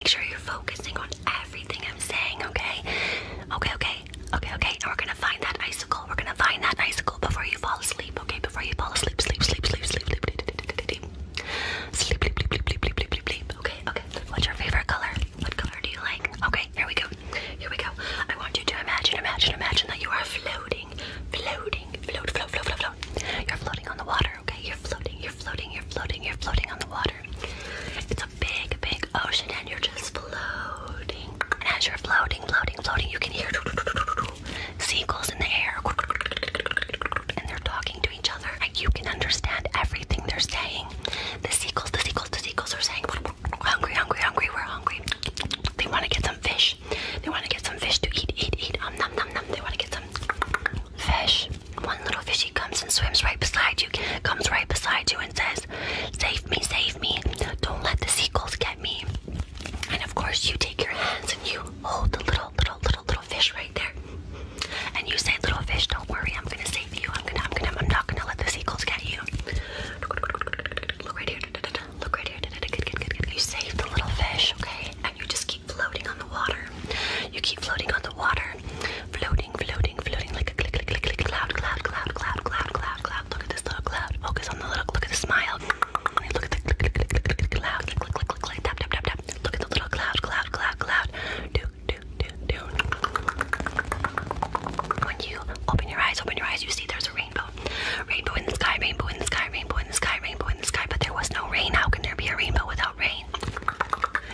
Make sure you're focusing on everything I'm saying, okay? Okay, okay, okay, okay. And we're gonna find that icicle. We're gonna find that icicle before you fall asleep, okay? Before you fall asleep, sleep, sleep, sleep, sleep, sleep, sleep, sleep, sleep, sleep, sleep, sleep, sleep, sleep, sleep, sleep. Okay, okay. What's your favorite color? What color do you like? Okay, here we go. Here we go. I want you to imagine, imagine, imagine that you are floating, floating, float, float, float, float, float. You're floating on the water okay? You're floating, you're floating, you're floating, you're floating on the water. It's a big, big ocean, and you're just floating. And as you're floating, floating, floating, you can hear seagulls in the air. And they're talking to each other. Like you can understand everything they're saying. The seagulls, the seagulls, the seagulls are saying, hungry, hungry, hungry, we're hungry. They want to get some fish. They want to get some fish to eat, eat, eat. Um, nom, nom, nom. They want to get some fish. One little fishy comes and swims right beside you, comes right beside you and says, Save me, save me. Don't let the seagulls get me. And of course, you take your hands and you hold the little, little, little, little fish right there. And you say, Little fish, don't worry, I'm gonna save you. I'm gonna, I'm gonna, I'm not gonna let the seagulls get you. Look right here, look right here, You save the little fish, okay? And you just keep floating on the water. You keep floating on the water. Floating, floating, floating like a click, click, click, click, cloud, cloud, cloud, cloud, cloud, cloud, cloud. Look at this little cloud. Focus on the little, look at the smile. Look at the click, click, click, click, click, cloud. Click, click, click, click, click, tap, tap, tap, tap. Look at the little cloud, cloud, cloud, cloud. Do, do, do, do. When you open your eyes, open your eyes, you see there's a rainbow. Rainbow in the sky, rainbow in the sky, rainbow in the sky, rainbow in the sky, but there was no rain. How can there be a rainbow without rain?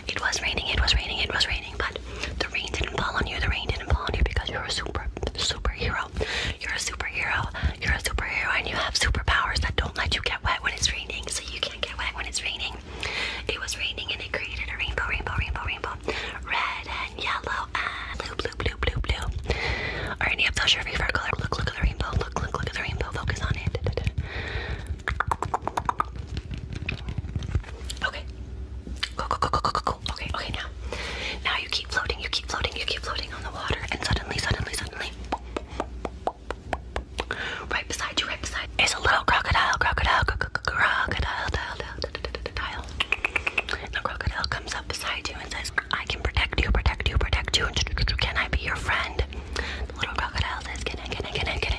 It was raining, it was raining, it was raining, but the rain didn't fall on you, the rain didn't fall on you because you're a super superhero. You're a superhero, you're a superhero, and you have superpowers that don't let you get wet when it's raining, so you can't get wet when it's raining. It was raining and it created a rainbow, rainbow, rainbow, rainbow. Red and yellow and blue, blue, blue, blue, blue. Or any of those your favorite color. Look, look at the rainbow, look, look, look at the rainbow, focus on it. Okay. Go, go, go, go, go, go, go. Okay, okay, now. Now you keep floating, you keep floating, you keep floating on the water, and suddenly, suddenly, suddenly. Right beside you, right beside you, is a little crocodile, crocodile, crocodile, crocodile. The crocodile comes up beside you and says, I can protect you, protect you, protect you. Can I be your friend? The little crocodile says, Can I, can I, can I, can I?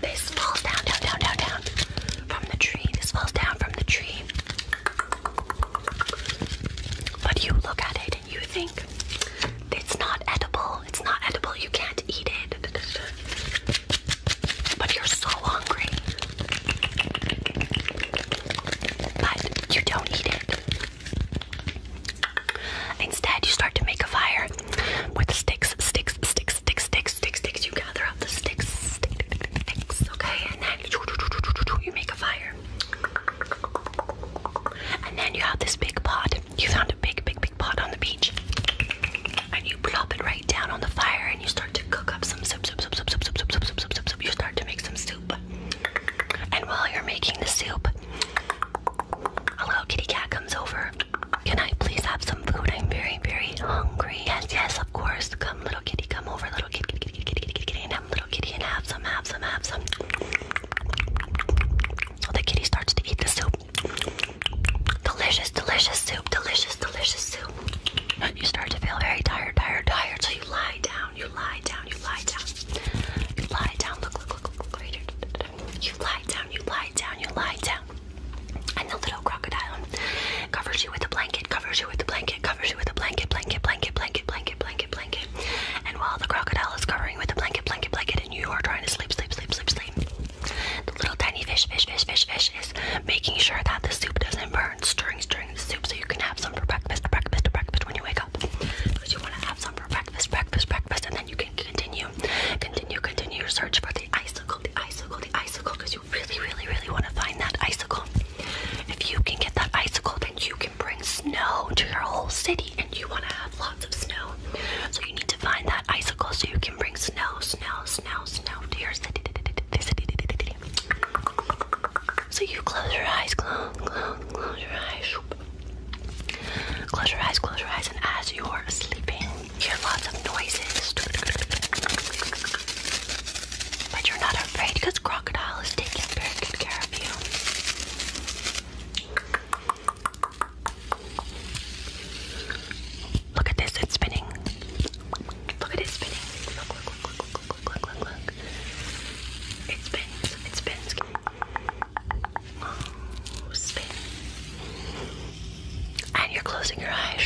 this falls down, down, down, down, down from the tree. This falls down from the tree. But you look at it and you think it's not edible. It's not edible. You can't eat it. But you're so hungry. But you don't eat it. Instead, you start to make a fire with sticks, sticks sticks, sticks, sticks, sticks, sticks, sticks. You gather up the sticks, sticks, sticks, okay? And then you make a fire. And then you have this big pot. You found a big, big, big pot on the beach. And you plop it right down on the fire and you start to cook up some soup, soup, soup, soup, soup, soup, soup, soup, soup, soup, soup. You start to make some soup. And while you're making the soup, a little kitty cat comes over can I please have some food? I'm very, very hungry. Yes, yes, of course. Come, little kitty, come over, little kitty, kitty, kitty, kitty, kitty, kitty, kitty and have little kitty, and have some, have some, have some. So the kitty starts to eat the soup. Delicious, delicious soup, delicious, delicious soup. And you start to feel very tired, tired, tired. So you lie down, you lie down, you lie down, you lie down. Look, look, look, look, look right here. You lie down, you lie down, you lie down. And the little crocodile covers you with a blanket, covers you with a blanket, covers you with a blanket, blanket, blanket, blanket, blanket, blanket, blanket. And while the crocodile is covering with a blanket, blanket, blanket, and you are trying to sleep, sleep, sleep, sleep, sleep, the little tiny fish, fish, fish, fish, fish is making sure that the soup doesn't burn, stirring, stirring the soup so you can have some for breakfast, breakfast, breakfast when you wake up. Because you want to have some for breakfast, breakfast, breakfast, and then you can continue continue, continue, your search for the icicle, the icicle, the icicle, because you really, really, really want to find that icicle. If you can get that icicle, then you can bring snow to your whole city, and you want to have lots of snow. So you need to find that icicle so you can bring snow, snow, snow, snow to your city. So you close your eyes, close, close, close your eyes. Close your eyes, close your eyes, and as you're sleeping, hear lots of noises, but you're not afraid because Crocodile is taking very good care of you. Look at this, it's spinning. Look at it spinning. Look, look, look, look, look, look, look, look, look. It spins, it spins. And you're closing your eyes.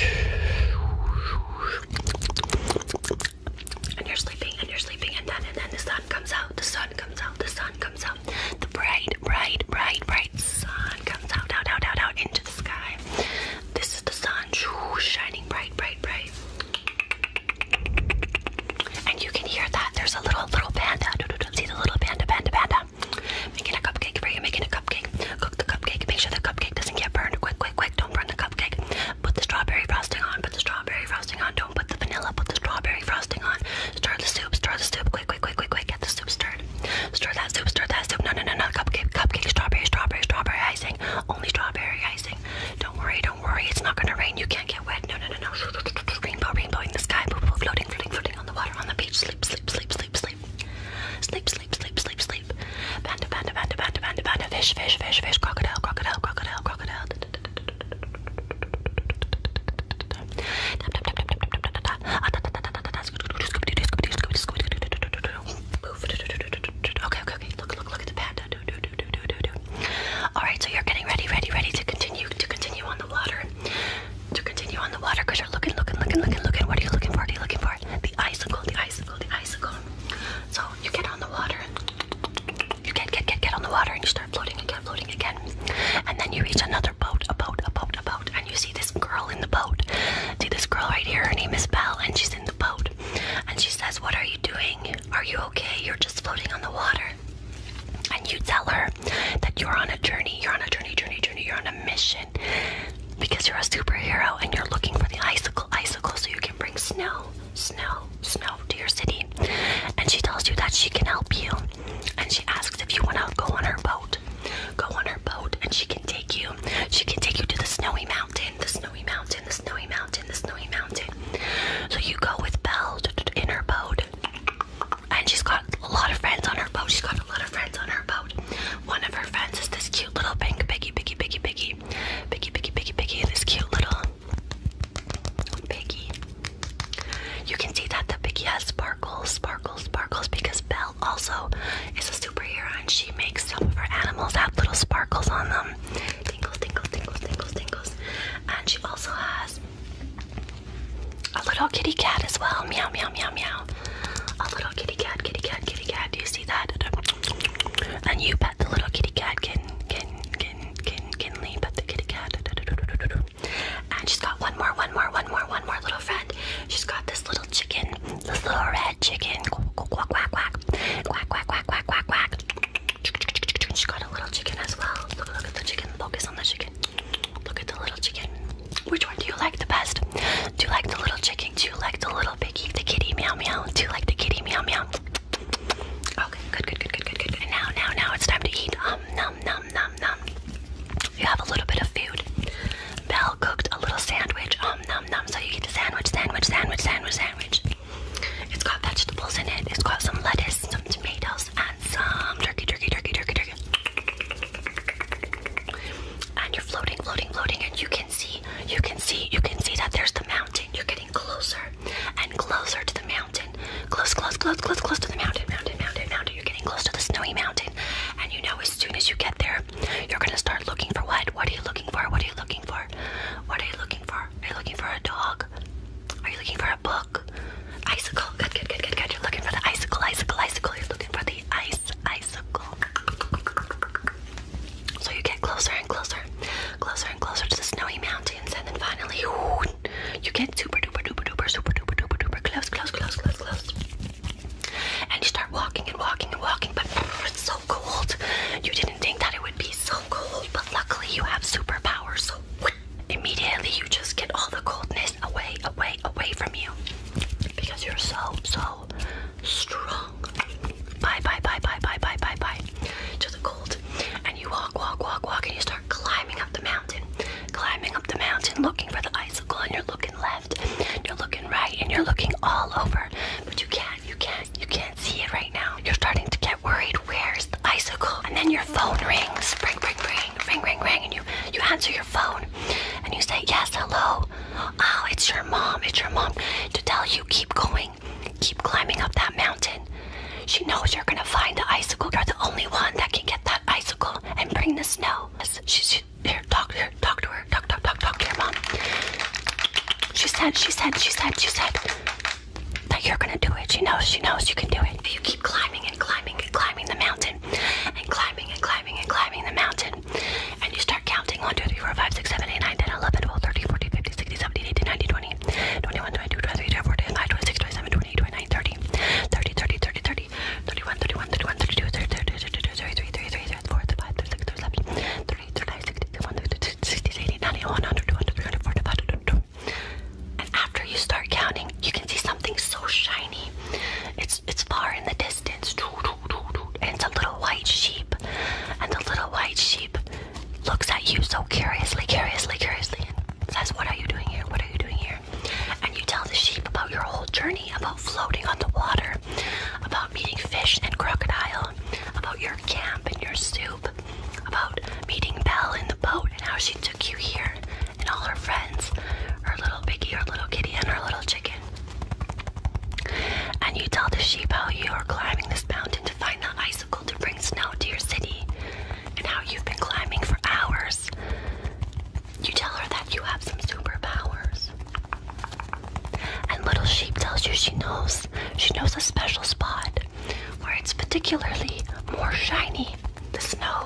And you're sleeping and you're sleeping and then and then the sun comes out, the sun comes out, the sun comes out. The bright, bright, bright, bright sun comes out, out, out, out, out into the sky. This is the sun shining bright, bright, bright. And you can hear that. There's a little little panda. See the little panda, panda, panda. Making a cupcake for you, making a cupcake. Cook the cupcake, make sure the cupcake doesn't get burned. Quick, quick, quick, don't burn the cupcake. Put the strawberry frosting on, put the strawberry frosting on. Don't put the vanilla, put the strawberry frosting on. Stir the soup, stir the soup. Quick, quick, quick, quick, quick. Get the soup stirred. Stir that soup, stir that soup. No, no, no, no. Cupcake, cupcake, strawberry, strawberry, strawberry icing. Only strawberry icing. Don't worry, don't worry. It's not gonna rain. You can't get wet. No, no, no, no. Rainbow, rainbow in the sky. Boo, boo, floating, floating, floating on the water, on the beach. Sleep, sleep, sleep, sleep, sleep. Sleep, sleep, sleep, sleep, sleep. Panda, panda, panda, panda, panda, panda. Fish, fish, fish, fish. Crocodile, crocodile, crocodile, crocodile. Okay, okay, okay. Look, look, look at the panda. Do, do, do, do, do, do. All right, so you're getting ready, ready, ready to continue, to continue on the water to continue on the water because you're looking, looking, looking, looking, looking. What are you looking for? What are you looking for? The icicle, the icicle, the icicle. So you get on the water you get, get, get, get on the water and you start floating again, floating again. And then you reach another boat, a boat, a boat, a boat, and you see this girl in the boat. See this girl right here, her name is Belle, and she's in the boat. And she says, What are you doing? Are you okay? You're just floating on the water. And you tell her that you're on a journey, you're on a journey, journey, journey, you're on a mission because you're a superhero and you're looking for the icicle, icicle, so you can bring snow, snow, snow to your city. And she tells you that she can help you. And she asks if you want to go on her boat. Go on her boat, and she can take you. She can take you to the snowy mountain, the snowy mountain, the snowy mountain, the snowy mountain. So you go with Belle in her boat and she's got a lot of friends on her boat. She's got a lot of friends on her boat. One of her friends is this cute little pink piggy, piggy, piggy, piggy, piggy, piggy, piggy, piggy, this cute little piggy. You can see that the piggy has sparkles, sparkles, sparkles because Belle also is a superhero and she makes some of her animals have little sparkles on them. Tingles, tingles, tingles, tingles, tingles. And she also has a little kitty cat as well. Meow, meow, meow, meow. A little kitty cat, kitty cat, kitty cat. Do you see that? And you pet the little kitty cat. Kin, kin, kin, kin, kinley. Pet the kitty cat. And she's got one more, one more, one more, one more little friend. She's got this little chicken, this little red chicken. Quack, quack, quack, quack. Quack, quack, quack, quack, quack, quack. She's got a little chicken as well. Look, look at the chicken. Focus on the chicken chicken. Look at the little chicken. Which one do you like the best? Do you like the little chicken? Do you like the little piggy? The kitty meow meow. Do you like the kitty meow meow? Okay, good, good, good, good, good, good. And now, now, now it's time to eat. Um, num, num, num, num. You have a little bit of food. Belle cooked a little sandwich. Um, num, num. So you eat the sandwich, sandwich, sandwich, sandwich, sandwich. It's got vegetables in it. It's got some lettuce, some tomatoes, and some turkey, turkey, turkey, turkey, turkey and you're floating, floating, floating, and you can see, you can see, you can see that there's the mountain. You're getting closer and closer to the mountain. Close, close, close, close, close to the mountain, mountain, mountain, mountain. You're getting close to the snowy mountain, and you know as soon as you get there, you're gonna start looking for what? What are you looking for? What are you looking for? What are you looking for? Are you looking for a dog? Are you looking for a book? Icicle. Good, good, good, good, good. You're looking for the icicle, icicle, icicle. You're looking for the ice ice icicle. So you get closer and closer, closer and closer to the snowy mountains, and then finally whoo, you get super duper duper duper super duper duper duper close, close, close, close, close. And you start walking and walking and walking, but it's so cold. You didn't think that it would be so cold, but luckily you have superpowers, so immediately you just get all the coldness away, away, away from you because you're so so strong. Bye bye bye bye bye bye bye bye to the cold, and you walk walk walk walk, and you start climbing up the mountain, climbing up the mountain, looking for the icicle, and you're looking left, you're looking right, and you're looking all over, but you can't you can't you can't see it right now. You're starting to get worried. Where's the icicle? And then your phone rings. Ring ring ring ring, ring, ring, ring, and you you answer your phone, and you say yes, hello. Oh, it's your mom. It's your mom to tell you keep going, keep climbing up that mountain. She knows you're gonna find the icicle. You're the only one that can get that icicle and bring the snow. She, she here, talk talk to her, talk, talk, talk, talk to your mom. She said, she said, she said, she said that you're gonna do it. She knows, she knows you can do it. If you keep climbing and climbing and climbing the mountain and climbing and climbing and climbing the mountain. And you start counting 1, 2, 3, 4, 5, 6, 8, 9, 10, 11, 12, 13, 14, 15, 16, 17, 18, 19, 20, 21, 22, 23, 24, 25, 26, 27, 28, 29, 30, 30, 30, 30, 30, 31, 31, 31, 32, 33, 33, 33, 33, 34, 35, 36, 37, 38, 39, 60, 61, 60, 80, 90, 100, 200, 300, 400, 500, and after you start counting, you can see something so shiny. It's it's far in the and it's a little white sheep. And the little white sheep looks at you so curiously, curiously, curiously, and says, What are you doing here? What are you doing here? And you tell the sheep about your whole journey, about floating on the water, about meeting fish and crocodile, about your camp and your soup, about meeting Belle in the boat and how she took you here and all her friends, her little piggy, her little kitty, and her little chicken. And you tell the sheep how you are climbing this mountain to find the icicle to bring snow to your city, and how you've been climbing for hours. You tell her that you have some superpowers. And little sheep tells you she knows. She knows a special spot where it's particularly more shiny. The snow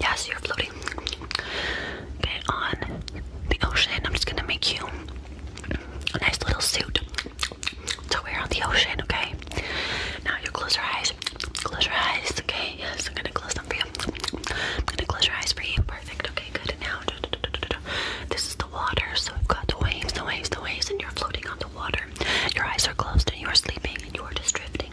Yes, you're floating. Okay, on the ocean. I'm just gonna make you a nice little suit to wear on the ocean, okay? Now you close your eyes. Close your eyes, okay? Yes, I'm gonna close them for you. I'm gonna close your eyes for you. Perfect, okay, good. Now, this is the water, so we've got the waves, the waves, the waves, and you're floating on the water. Your eyes are closed and you are sleeping and you are just drifting,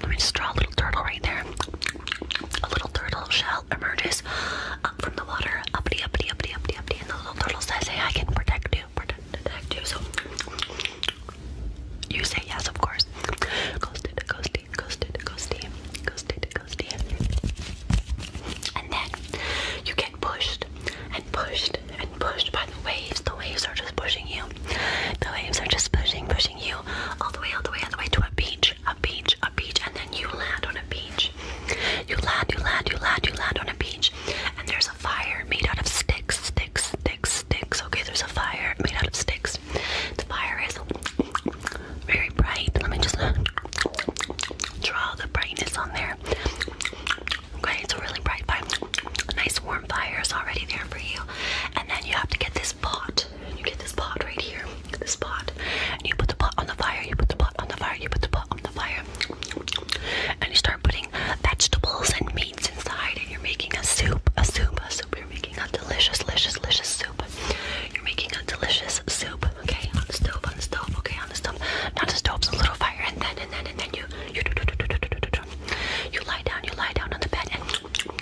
let me just draw a little turtle right there. A little turtle shell emerges up from the water. Uppity, uppity, uppity, uppity, uppity. And the little turtle says, Hey, I can protect you, protect, you. So you say yes, of course. Ghosted, ghosted, ghosted, ghosted, ghosted, ghosted. And then you get pushed and pushed and pushed by the waves. The waves are just pushing you the waves are just pushing, pushing you all the way, all the way, all the way to a beach, a beach, a beach, and then you land on a beach. You land, you land, you land, you land on a beach, and there's a fire made out of sticks, sticks, sticks, sticks. Okay, there's a fire made out of sticks. The fire is very bright. Let me just draw the brightness on there. Okay, it's a really bright fire. Nice warm fire is already there for you. And then you have to get this pot pot. You get this pot right here. This pot. And you put the pot on the fire. You put the pot on the fire. You put the pot on the fire. And you start putting vegetables and meats inside. And you're making a soup. A soup. A soup. You're making a delicious, delicious, delicious soup. You're making a delicious soup. Okay. On the stove. On the stove. Okay. On the stove. Not the stove's a little fire. And then and then and then you you do do do do do do do. You lie down. You lie down on the bed and.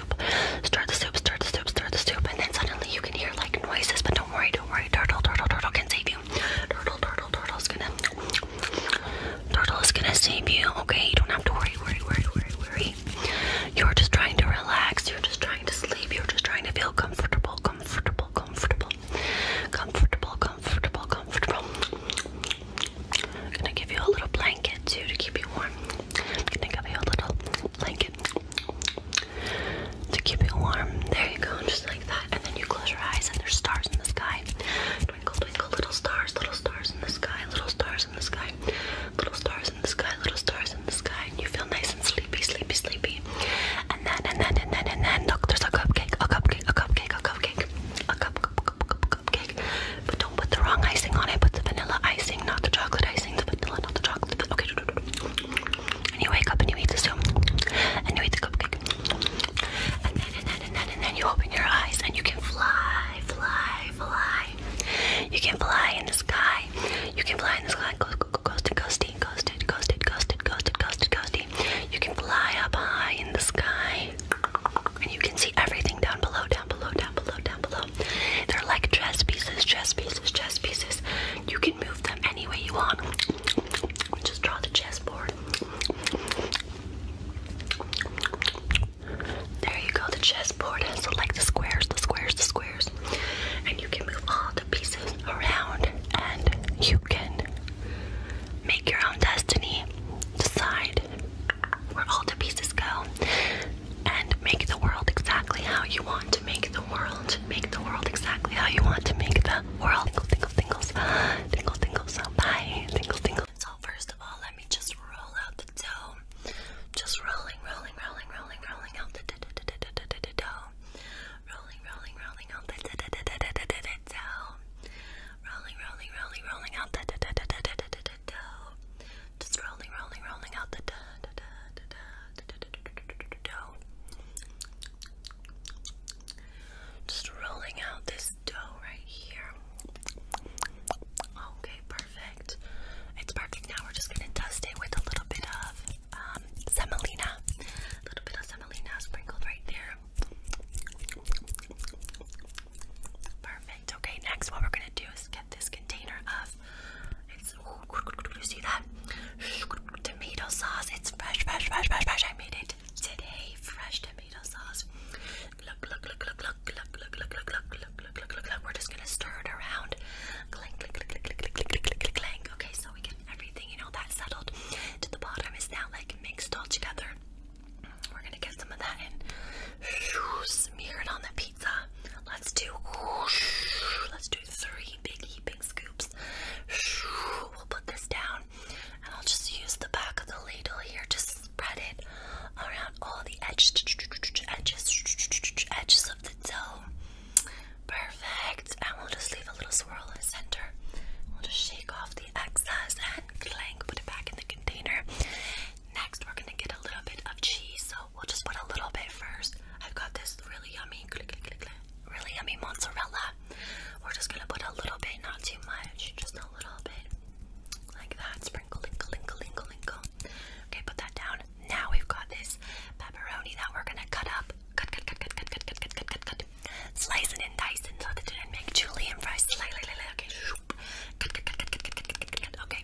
soup, the soup, stir the soup, stir the soup, and then suddenly you can hear like noises. But don't worry, don't worry. Turtle, turtle, turtle can save you. Turtle, turtle, turtle's gonna, turtle is gonna save you. Okay, you don't have to worry, worry, worry, worry, worry. You're just trying to relax. You're just trying to sleep. You're just trying to feel comfortable, comfortable, comfortable, comfortable, comfortable, comfortable. I'm gonna give you a little blanket too to keep you warm. gonna give you a little blanket okay? To keep you warm. There you go, just like that. And then you close your eyes and there's stars in the sky. Twinkle, twinkle, little stars, little stars in the sky, little stars in the sky, little stars in the sky, little stars in the sky. And you feel nice and sleepy, sleepy, sleepy. And then, and then, and then, and then, look, there's a cupcake, a cupcake, a cupcake, a cupcake, a cup, cup, cup, cup, cupcake. But don't put the wrong icing on it. Put the vanilla icing, not the chocolate icing these things vanilla, not the chocolate. But okay. And you wake up and you eat the soup. And you eat the cupcake. And then, and then, and then, and then you open your eyes and you can fly, fly, fly. You can fly in the sky. You can fly in the sky. Ghosted, ghosted, ghosted, ghosted, ghosted, ghosted, ghosted, ghosted. You can fly up high in the sky. And you can see everything down below, down below, down below, down below. They're like chess pieces, chess pieces, chess pieces. You can move them any way you want. Just draw the chessboard. There you go, the chessboard has so like the squares, the squares, the squares. And you can move all the pieces around and you can make your own destiny. Decide where all the pieces go and make the world exactly how you want to make the world. Make the world exactly how you want to make the world. Tingles, tingles, tingles, tingles, tingles. Bye, tingles, tingles. So first of all, let me just roll out the dough. Just rolling, rolling, rolling, rolling, rolling out the dough. Rolling, rolling, rolling out the dough. Rolling, rolling, rolling, rolling out the dough. Just rolling, rolling, rolling out the dough. Just rolling out this dough right here. Okay, perfect. It's perfect. Now we're just gonna dust it with a little bit of semolina. A little bit of semolina sprinkled right there. Perfect. Okay, next what we're gonna do is get this container of sauce. Ooh, see that? Tomato sauce. It's fresh, fresh, fresh, fresh, fresh. I made it today. Fresh tomato sauce. Look, look, look, look, look, look, look, look, look, look, look, look, look, look, look. We're just gonna stir it around. Clank, clank, clank, clank, clank, clank, clank, clank. Okay, so we get everything, you know, that's settled. To the bottom is now like mixed all together. We're gonna get some of that and smear it on the pizza. Let's do let's do three big heaping scoops. We'll put this down and I'll just use the back of the ladle here to spread it around all the edges edges edges of the dough. Perfect. And we'll just leave a little swirl in the center. We'll just shake off the excess and clank, put it back in the container. Next, we're gonna get a little bit of cheese. We'll just put a little bit first. I've got this really yummy, really yummy mozzarella. We're just gonna put a little bit, not too much, just a little bit, like that. Sprinkle, linkle, linkle, linkle, linkle. Okay, put that down. Now we've got this pepperoni that we're gonna cut up. Cut, cut, cut, cut, cut, cut, cut, cut, cut, cut, cut. Slice it and dice it so that it didn't make julienne fries. Slice, slice, slice. Okay, cut, cut, cut, cut, cut, cut, cut, cut, cut. Okay,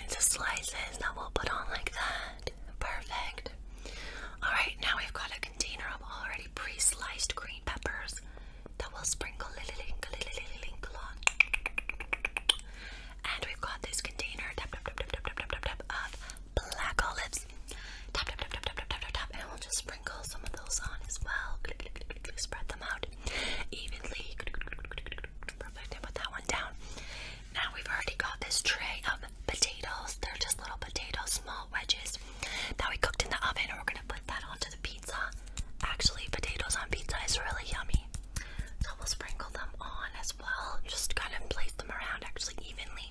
into slices that we'll put on like that. Perfect. Alright, now we've got a container of already pre sliced green peppers that we'll sprinkle on. And we've got this container tap, tap, tap, tap, tap, tap, tap, tap, of black olives. Tap, tap, tap, tap, tap, tap, tap, tap, and we'll just sprinkle some of those on as well. Spread them out evenly. Perfect. I put that one down. Now we've already got this tray of potatoes. They're just little potatoes, small wedges that we cooked in the oven. and We're gonna put that onto the pizza. Actually, potatoes on pizza is really yummy. So we'll sprinkle them on as well. Just kind of place them around actually evenly.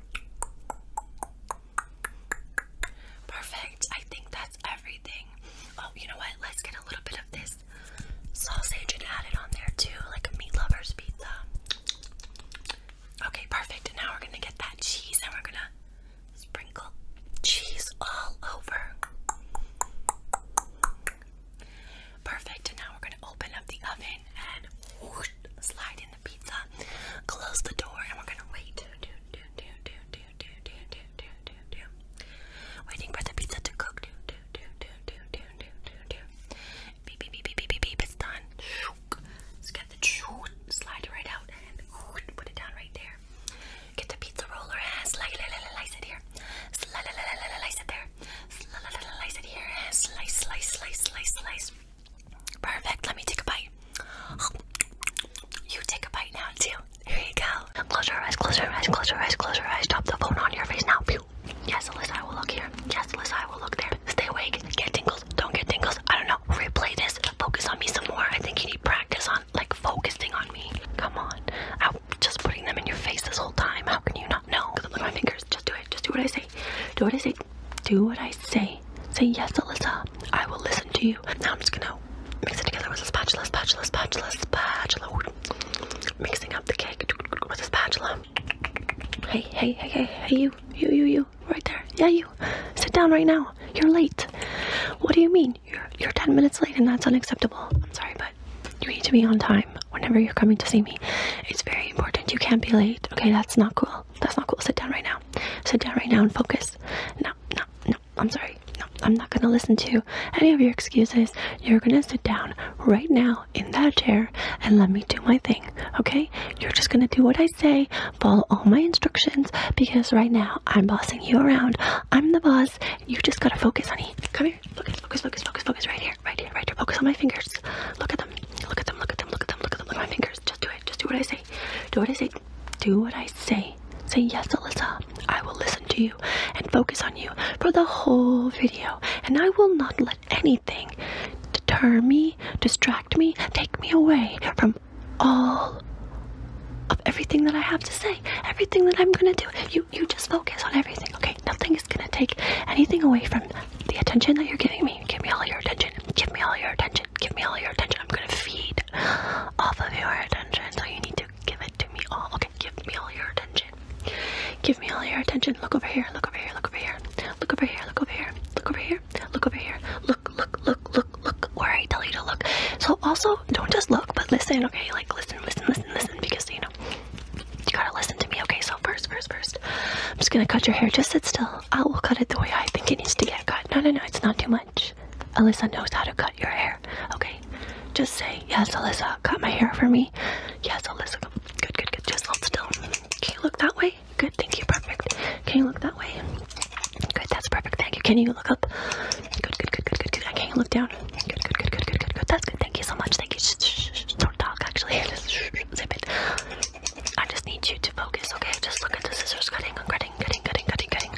Perfect. I think that's everything. Oh, you know what? Let's get a little bit of this sausage and add it on there too, like a meat lover's pizza. Okay, perfect. And now we're gonna get that cheese and we're gonna sprinkle cheese all over. Perfect, and now we're gonna open up the oven and whoosh, slide in the pizza. Close the door, and we're gonna wait. Do, do, do, do, do, do, do, do, do, do, do. Waiting for the pizza to cook. Do, do, do, do, do, do, do, do, do. Beep, beep, beep, beep, beep, beep, beep. It's done. Just get the slide right out and put it down right there. Get the pizza roller and slice it here. Slice it there. Slice it here. Slice, slice, slice, slice, slice. Perfect. Let me take a bite. You take a bite now too. Here you go. Close your eyes. Close your eyes. Close your eyes. Close your eyes. Drop the phone on your face now. Pew. Yes, Alyssa, I will look here. Yes, Alyssa, I will look there. Stay awake. Get tingles. Don't get tingles. I don't know. Replay this. Focus on me some more. I think you need practice on like focusing on me. Come on. I'm just putting them in your face this whole time. How can you not know? Look at my fingers. Just do it. Just do what I say. Do what I say. Do what I say. Say yes, Alyssa. I will listen to you. Now I'm just gonna mix it together with a spatula, spatula, spatula, spatula. Mixing up the cake with a spatula. Hey, hey, hey, hey, hey, you, you, you, you, right there. Yeah, you. Sit down right now. You're late. What do you mean? You're, you're 10 minutes late and that's unacceptable. I'm sorry, but you need to be on time whenever you're coming to see me. It's very important. You can't be late. Okay, that's not cool. That's not cool. Sit down right now. Sit down right now and focus. No, no, no. I'm sorry. No, I'm not going to listen to any of your excuses. You're going to sit down right now in that chair and let me do my thing. Okay? You're just going to do what I say, follow all my instructions because right now I'm bossing you around. I'm the boss. You just got to focus, honey. Come here. Focus, focus, focus, focus, focus right here right here, right here. Focus on my fingers. Look at them. Look at them. Look at them. Look at them. Look at them. Look at my fingers. Just do it. Just do what I say. Do what I say. Do what I say. Say yes, Alyssa. I will listen to you and focus on you for the whole video. And I will not let anything deter me, distract me, take me away from all of everything that I have to say, everything that I'm gonna do. You you just focus on everything, okay? Nothing is gonna take anything away from the attention that you're giving me. Give me all your attention. Give me all your attention. Give me all your attention. I'm gonna feed off of your attention, so you need to give it to me all. Okay, give me all your attention. Give me all your attention. Look over here. Look over here. Look over here. Look over here. Look over here. Look over here. Look over here. Look, look, look, look, look. Where I tell you to look. So also, don't just look, but listen. Okay, like listen, listen, listen, listen, because you know you gotta listen to me, okay? So first, first, first, I'm just gonna cut your hair. Just sit still. I will cut it the way I think it needs to get cut. No, no, no, it's not too much. Alyssa knows how to cut your hair, okay? Just say, yes, Alyssa, cut my hair for me. Yes, Alyssa, good, good, good. Just hold still. Can you look that way? Good, thank you, perfect. Can you look that way? Good, that's perfect, thank you. Can you look up? Good, good, good, good, good, good. Can you look down? Good, good, good, good, good, good, good. That's good, thank you so much. Thank you. Shh, shh, shh, don't talk, actually. Just zip it. I just need you to focus, okay? Just look at the scissors cutting. I'm cutting, cutting, cutting, cutting, cutting.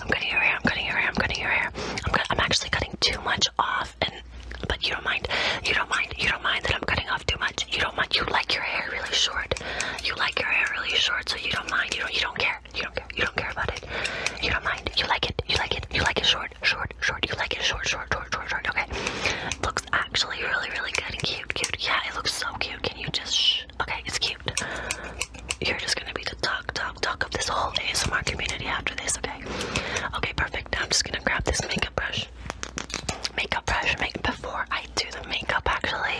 I'm cutting your hair. I'm cutting your hair. I'm cutting your hair. I'm, cut I'm actually cutting too much off, and but you don't mind. You don't mind. You don't mind that I'm cutting off too much. You don't mind. You like your hair really short. You like your hair really short, so you don't mind. You don't. You don't care. You don't care. You don't care about it. You don't mind. You like it. You like it. You like it short, short, short. You like it short, short, short, short, short. Okay. Look, actually really, really good and cute, cute. Yeah, it looks so cute. Can you just shh? Okay, it's cute. You're just gonna be the talk, talk, talk of this whole ASMR community after this, okay? Okay, perfect. I'm just gonna grab this makeup brush. Makeup brush. Make before I do the makeup, actually,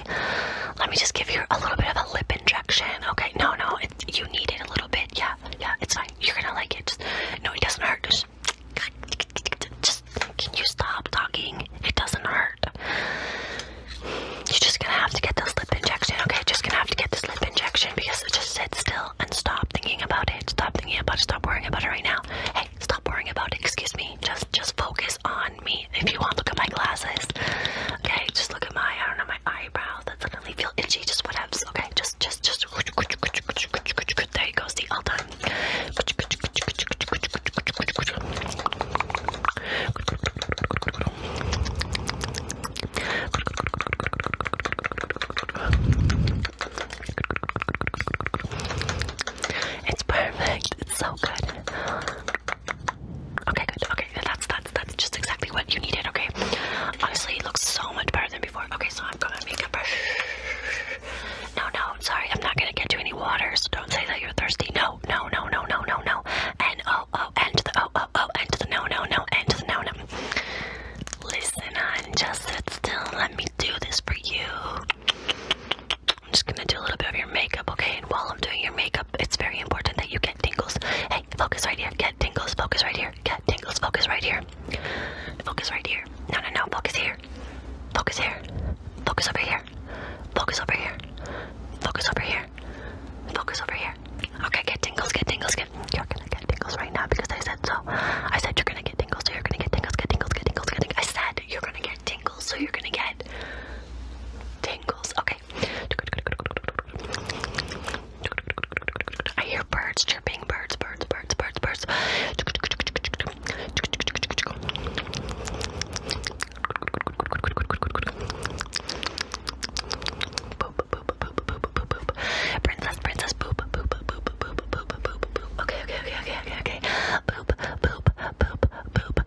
let me just give you a little bit of a lip injection. Okay, no, no, you need it a little bit. Yeah, yeah, it's fine. You're gonna like it. no, it doesn't hurt. Just, just can you stop talking? It doesn't hurt. You're just gonna have to get the slip injection, okay? Just gonna have to get the slip injection because it just sit still and stop thinking about it. Stop thinking about it. Stop worrying about it right now. Hey, stop worrying about it. Excuse me. Just just focus on me. If you want, look at my glasses. Okay, just look at my I don't know my eyebrows that suddenly feel itchy. Just whatevs. Okay, just just just. There you go. See, all done. It's perfect. It's so good. Okay, good. Okay, that's that's that's just exactly what you needed. Okay, honestly, it looks so much better than before. Okay, so I'm gonna make a brush. No, no, sorry, I'm not gonna get you any water, so don't say that you're thirsty. No, no, no, no, no, no, no. And oh, oh, and to the oh, oh, oh, and to the no, no, no, and to the no, no. Listen on, just sit still. Let me do this for you. I'm just gonna do a little bit of your makeup, okay? And while I'm doing your makeup, it's very important that you get tingles. Hey, focus right here. Get tingles. Focus right here. Get tingles. Focus right here. Focus right here. No, no, no. Focus here. Focus here. Focus over here. Focus over here. Focus over here. Focus over here. Okay, get tingles, get tingles, get. You're gonna get tingles right now because I said so. I said you're gonna get tingles, so you're gonna get tingles, get tingles, get tingles, get I said you're gonna get tingles, so you're gonna get tingles. Okay. I hear birds chirping, birds, birds, birds birds, birds, birds. Boop, boop, boop, boop, boop, boop, boop. Princess, princess, boop, boop, boop, boop, boop, boop, boop, boop. Okay, okay, okay, okay, okay, okay. Boop, boop, boop, boop, boop, boop, boop, boop.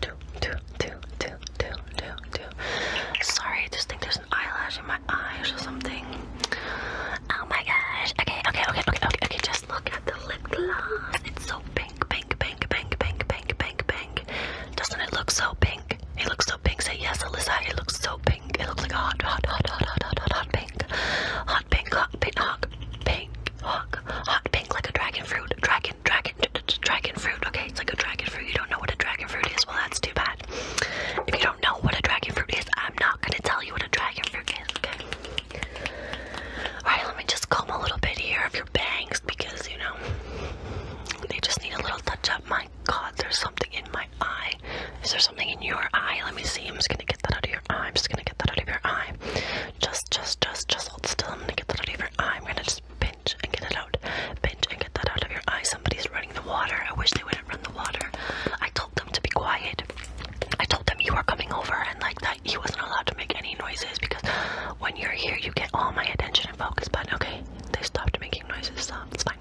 do, do, do, do, do, do, do, do. Sorry, I just think there's an eyelash in my eyes or something. Oh my gosh. Okay, okay, okay, okay, okay, okay. Just look at the lip gloss. It's so pink, pink, pink, pink, pink, pink, pink, pink. Doesn't it look so pink? It looks so pink. Say yes, Alyssa. It looks so pink. It looks like a hot, hot, hot, hot, hot, hot, hot, hot pink. Hot pink, hot pink, hot pink, hot pink, hot pink, like a dragon fruit. Dragon dragon, dragon, fruit. Okay, it's like a dragon fruit. You don't know what a dragon fruit is? Well, that's too bad. If you don't know what a dragon fruit is, I'm not gonna tell you what a dragon fruit is. Okay. All right, let me just comb a little bit here of your bangs because you know they just need a little touch up. My God, there's something in my eye. Is there something in your eye? Let me see. I'm just gonna get that out of your eye. I'm just gonna get that out of your eye. Just, just, just, just hold still. I'm gonna get that out of your eye. I'm gonna just pinch and get it out. Pinch and get that out of your eye. Somebody's running the water. I wish they wouldn't run the water. I told them to be quiet. I told them you were coming over and like that he wasn't allowed to make any noises because when you're here you get all my attention and focus. But okay, they stopped making noises, so it's fine.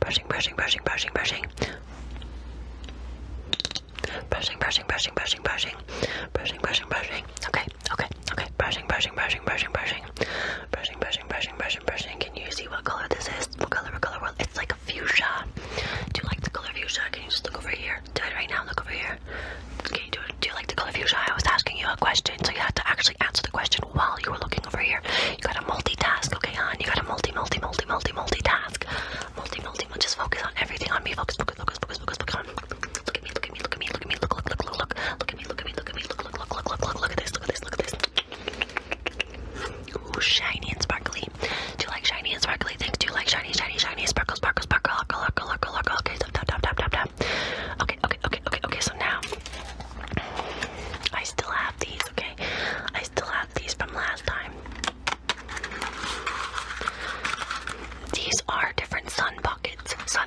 Brushing, brushing, brushing, brushing, brushing. Brushing, brushing, brushing, brushing, brushing, brushing, brushing, brushing. Okay, Okay, okay, okay. Brushing, brushing, brushing, brushing, brushing, brushing, brushing, brushing, brushing, brushing. Can you see what color this is? What color? What color? Well, it's like a fuchsia. Do you like the color fuchsia? Can you just look over here? Do it right now. Look over here. Can you do it? Do you like the color fuchsia? I was asking you a question, so you had to actually answer the question while you were looking over here. You gotta multitask, okay, hon? You gotta multi, multi, multi, multi, multitask. Multi, multi, multi. Just focus on everything on me. Focus, focus, focus, focus, focus, focus on Look at me, look at me, look at me, look at me, look, look, look, look, look. Look at me, look at me, look at me, look, look, look, look, look, look, look at this, look at this, look at this. Ooh, shiny and sparkly. Do you like shiny and sparkly things? Do you like shiny, shiny, shiny, sparkle, sparkle, sparkle, look, look, look, look, look. Okay, tap, tap, tap, tap, tap, tap. Okay, okay, okay, okay, okay, so now I still have these, okay? I still have these from last time. These are different sun buckets. Sun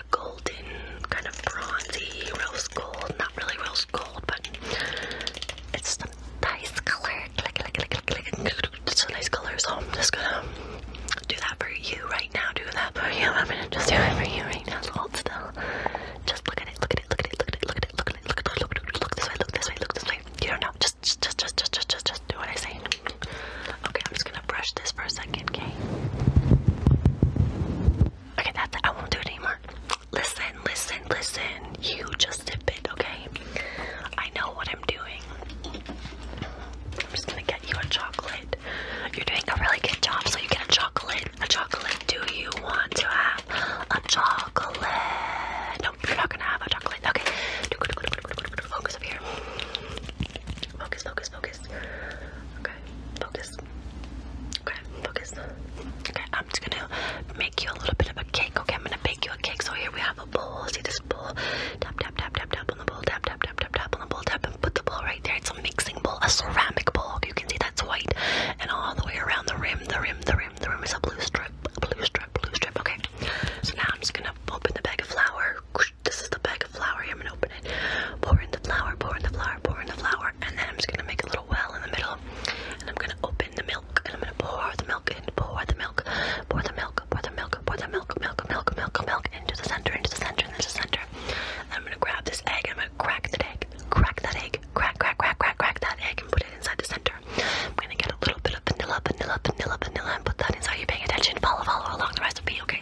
like a golden, kind of bronzy rose gold. Not really rose gold, but it's a nice color. Click, click, click, click, click. It's a nice color, so I'm just gonna do that for you right now. Do that for you. I'm gonna just do it for you right now. So hold still. Just look at it. Look at it. Look at it. Look at it. Look at it. Look at it. Look at it. Look at it. Look this way. Look this way. Look this way. You don't know. Just, just, just, just, just, just, just, just do what I say. Okay, I'm just gonna brush this for a second. Okay. Okay, that's it. I won't do it anymore. Listen, listen, listen. You just dip it, okay? I know what I'm doing. I'm just gonna get you a chocolate. You're doing a really good job, so you get a chocolate. A chocolate. Do you want to have a chocolate? Nope, you're not gonna have a chocolate. Okay. Focus up here. Focus, focus, focus. Okay, focus. Okay, focus. Okay, I'm just gonna make you a little bit of a cake. Okay, I'm gonna bake you a cake. So here we have a bowl. See this bowl? Tap, tap, tap, tap, tap on the bowl. Tap, tap, tap, tap, tap on the bowl. Tap and put the bowl right there. It's a mixing bowl, a ceramic bowl. Okay, you can see that's white, and all the way around the rim, the rim, the rim, the rim is a blue strip, blue strip, blue strip. Okay. So now I'm just gonna open the bag of flour. This is the bag like a flower here. I'm gonna open it, pour in the flour, pour in the flour, pour in the flour, and then I'm just gonna make a little well in the middle. And I'm gonna open the milk, and I'm gonna pour the milk in, pour the milk, pour the milk, pour the milk, pour the milk, milk, milk, milk, milk into the center, into the center, into the center. And I'm gonna grab this egg, and I'm gonna crack the egg, crack that egg, crack, crack, crack, crack, crack that egg, and put it inside the center. I'm gonna get a little bit of vanilla, vanilla, vanilla, vanilla, and put that inside. You paying attention? Follow, follow along the recipe, okay?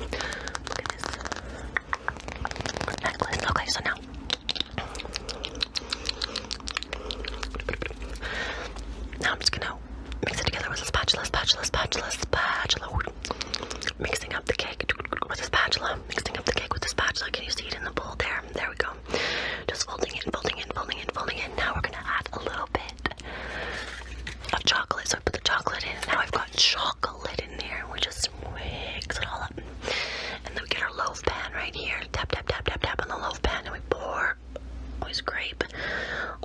Look at this necklace. Okay, so now now I'm just gonna mix it together with a spatula, spatula, spatula, spatula. Mixing up the cake with a spatula. Mixing up the cake with a spatula. Can you see it in the bowl there? There we go. Just folding it, folding it, folding it, folding it. Now we're gonna add a little bit of chocolate. So I put the chocolate in. Now I've got chocolate in there. We just mix it all up. And then we get our loaf pan right here. Tap, tap, tap, tap, tap on the loaf pan. And we pour always grape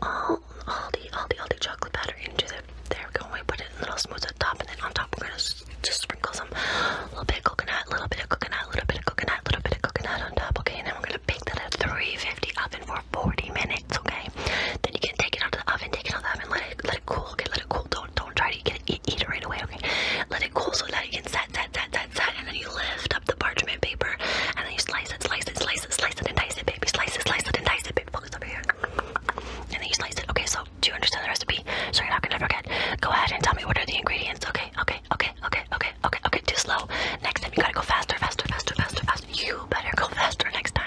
all, all the all the all the chocolate batter into the there we go we put it in little smooths at the top and then on top we're gonna just sprinkle some a little bit of coconut little bit of coconut little bit of coconut little bit of coconut on top okay and then we're gonna bake that at 350 up oven for 40 minutes, okay? Then you can take it out of the oven, take it out of the oven, let it let it cool, okay? Let it cool. Don't don't try to get it, eat it right away, okay? Let it cool so that you can set, set, set, set, set, and then you lift up the parchment paper and then you slice it, slice it, slice it, slice it, and dice it, baby. Slice it, slice it, and dice it, baby. Focus over here. And then you slice it. Okay, so do you understand the recipe? So you're not gonna forget. Go ahead and tell me what are the ingredients, okay? Okay, okay, okay, okay, okay, okay. Too slow. Next time you gotta go faster, faster, faster, faster, faster. You better go faster next time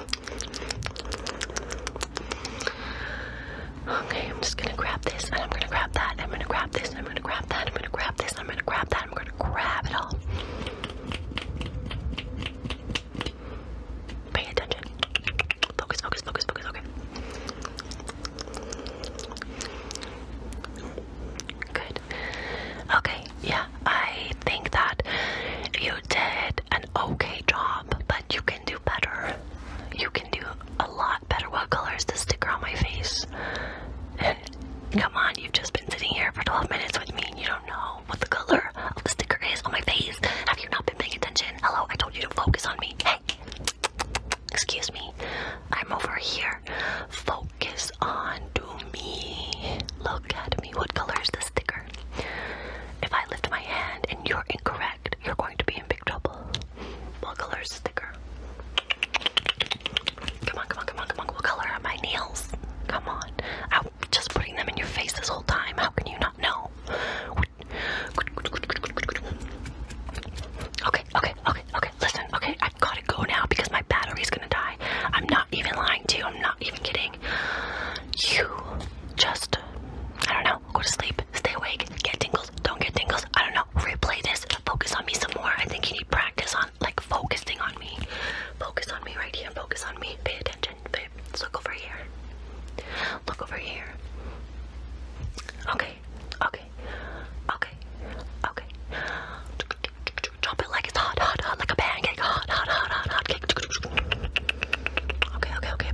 Okay, I'm just gonna grab this and I'm gonna grab that. and I'm gonna grab this and I'm gonna grab that. I'm gonna grab this. I'm gonna grab that. I'm gonna grab it all. Pay attention. Focus, focus, focus, focus. Okay. Good. Okay, yeah, I think that you did an okay job, but you can do better. You can do a lot better. What color is the sticker on my face? come on, you've just been sitting here for 12 minutes with me and you don't know what the color of the sticker is on my face. Have you not been paying attention? Hello, I told you to focus on me. Hey, excuse me. I'm over here. Focus on to me. Look at me. What color is the sticker? If I lift my hand and you're incorrect, you're going to be in big trouble. What color is Come on, come on, come on, come on. What color are my nails? Come on. I'm just putting them in your face this whole time. How can you not know? Okay, okay, okay, okay. Listen, okay, I've got to go now because my battery's gonna die. I'm not even lying to you. I'm not even kidding you just I don't know, go to sleep, stay awake, get tingles, don't get tingles, I don't know, replay this, focus on me some more. I think you need practice on like focusing on me. Focus on me right here, focus on me, pay attention, look over here. Look over here. Okay, okay, okay, okay. Drop it like it's hot, hot, hot, like a pancake, hot, hot, hot, hot, hot cake. Okay, okay, okay.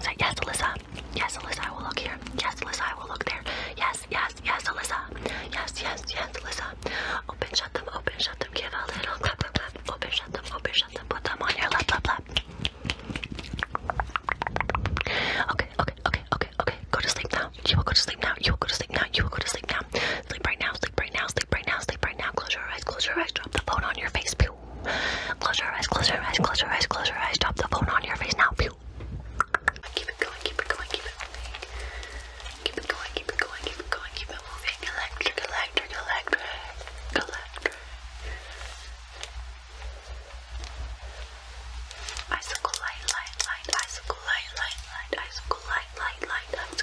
So yes, Alyssa. Yes, Alyssa, I will look here. Yes, Alyssa, I will look there. Yes, yes, yes, Alyssa. Yes, yes, yes, Alyssa. Open, shut them, open, shut them. Give a little clap, clap, clap. Open, shut them, open, shut them. Put them on your lap, lap, lap. Okay, okay, okay, okay, okay. Go to sleep now. You will go to sleep now. You will go to sleep now. You will go to sleep now. Sleep right now. Sleep right now. Sleep sleep right now, sleep right now. Close your eyes, close your eyes, drop the phone on your face. Pew. Close your eyes, close your eyes, close your eyes, close your eyes, drop the phone on your face now. Pew. Keep it going, keep it going, keep it moving. Keep it going, keep it going, keep it going, keep it moving. Electric, electric, electric, electric. Icicle light, light, light, light, light, light, light, light, light.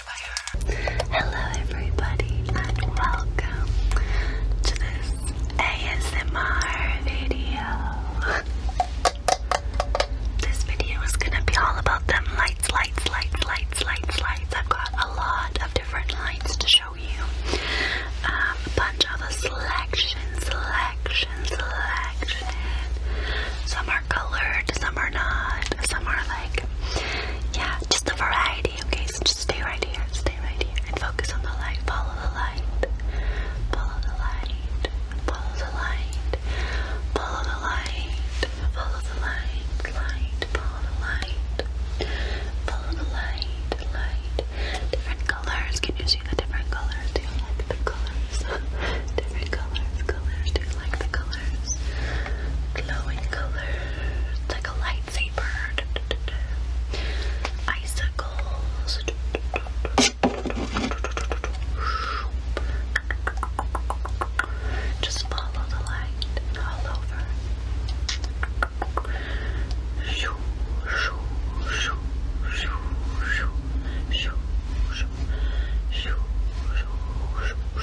Hello everybody and welcome to this ASMR video. This video is gonna be all about them lights, lights, lights, lights, lights, lights. I've got a lot of different lights to show you. Um, a bunch of a selection, selection, selection. Some are colored, some are not, some are like yeah, just a variety ready, okay? So just stay right here, stay right here, and focus on the light. Follow the light. Follow the light. Follow the light. Follow the light. Follow the light. Light. Follow the light. Follow the light. Light. Different colors. Can you see the different colors? Do you like the colors? different colors. Colors. Do you like the colors? Glowing colors. It's like a light lightsaber, icicles, just follow the light all over. Shoo, shoo, shoo, shoo, shoo, shoo, shoo, shoo, shoo, shoo, Light,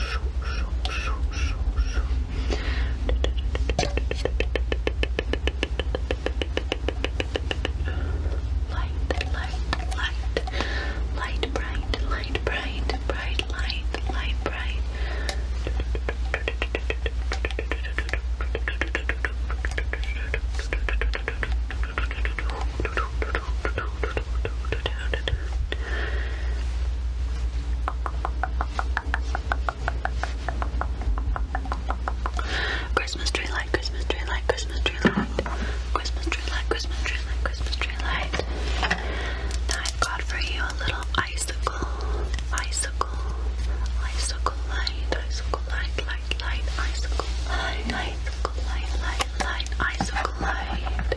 light, light, light, bright, light, bright, bright, light, light, bright. Christmas tree light, Christmas tree light, Christmas tree light, Christmas tree light, Christmas tree light, Christmas tree light. Now I've got for you a little icicle, icicle, icicle light, icicle light, light, light, icicle light, icicle light, light, light, icicle light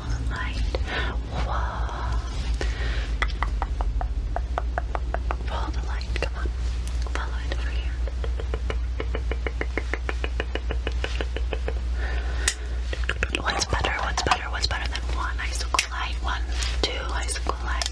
the light. Whoa. Follow the light. Come on. Follow it over here. What's better? What's better? What's better than one icicle light? One, two icicle light.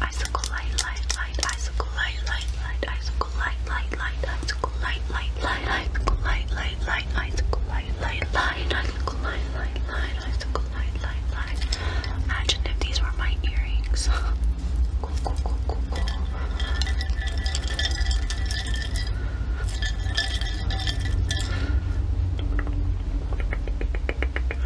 Icicle light, light, light, icicle light, light, light, icicle light, light, light, icicle light, light, light, icicle light, light, light, icicle light, light, light, icicle light, light, light, icicle light, light, light. Imagine if these were my earrings. Cool, cool, cool, cool, cool.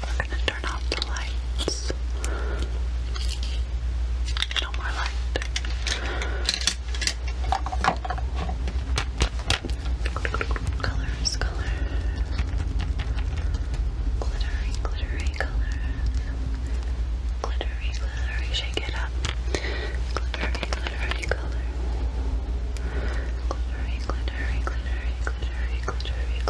We're gonna turn off the lights. No more light. Colors, colors. Glittery, glittery colors. Glittery, glittery, shake it up. Glittery, glittery color. Glittery, glittery, glittery, glittery, glittery,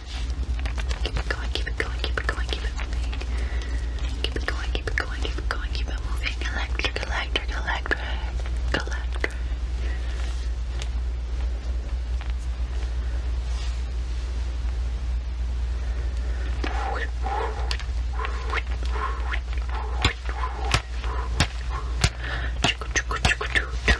Keep it going, keep it going, keep it going, keep it moving. Keep it going, keep it going, keep it going, keep it moving. Electric, electric, electric, electric. Chuku, chuku, chuku, choo, choo.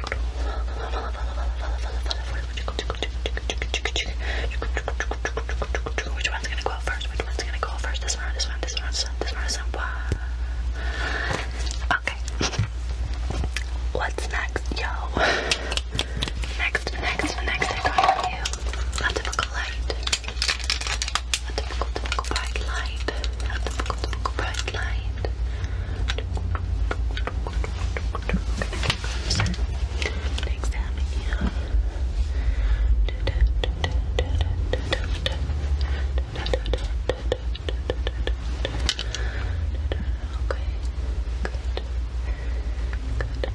which one's gonna go out first? Which one's gonna go out first? This one this one? This one this one? This one Okay. What's next, yo? Next, next, next I got you. A typical light. A typical, typical bright light. A typical, typical bright light right. Examine you. Okay. Good. Good.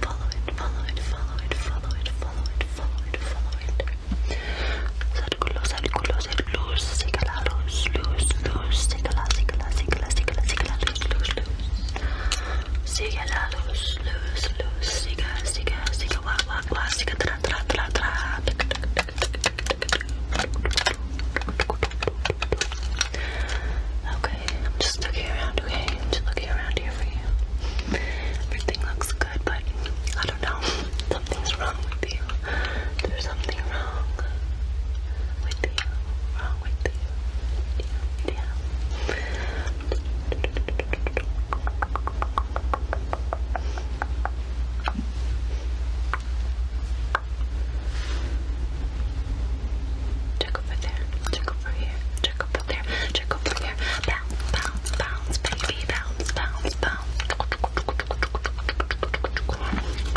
Follow it. Follow it. Follow it. Follow it. Follow it. Follow it. Follow it. Círculos, círculos, luz, síguela, luz, luz, luz, síguela, síguela, síguela, síguela, lose, lose, lose. Sigue la luz, luz, luz. Sigue, sigue, sigue, wa, wa, wa. Sigue, tra, tra, tra, tra. Okay, I'm just looking around, okay? just looking around here for you. Everything looks good, but I don't know. Something's wrong with you. There's something wrong with you, Check over there, check over here, check over there, check over here. Bounce, bounce, bounce, baby, bounce, bounce, bounce.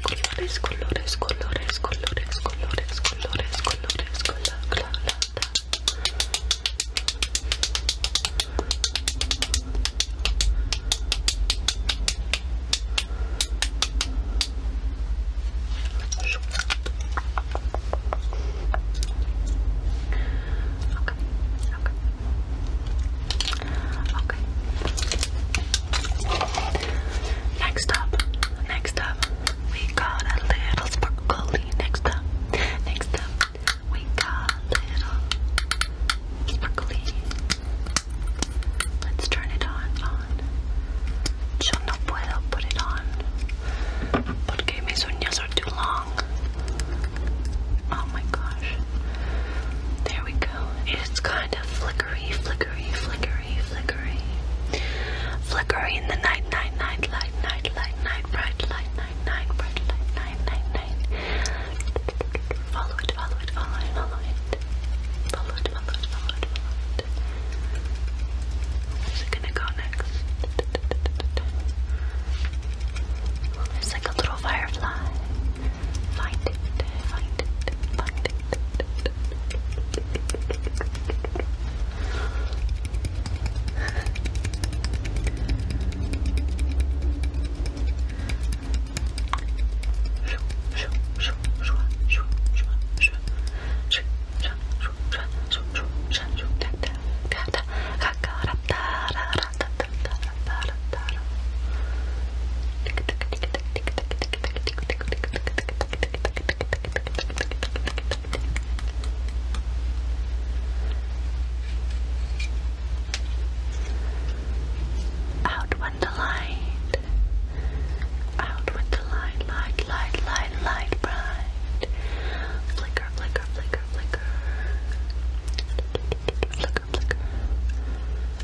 Colores, colores, colores, colores, colores, colores, colores, colores, Okay, okay, Okay. Next up, next up, we got a little sparkly. Next up, next up, we got a little sparkly. Let's turn it on. on. Yo no puedo put it on porque mis uñas are too long. Oh my gosh. There we go. It's kind of flickery, flickery, flickery, flickery. Flickery in the night, night, night, light, night, light, night, bright, light, night, night, bright, light, night, night, night. Follow it, follow it, follow it, follow it. Follow it, follow it, follow it, follow it. Where's it gonna go next? There's like a little firefly. Find it, find it, find it. Out with the light. Out with the light, light, light, light, light, bright. Flicker, flicker, flicker, flicker. Flicker, flicker.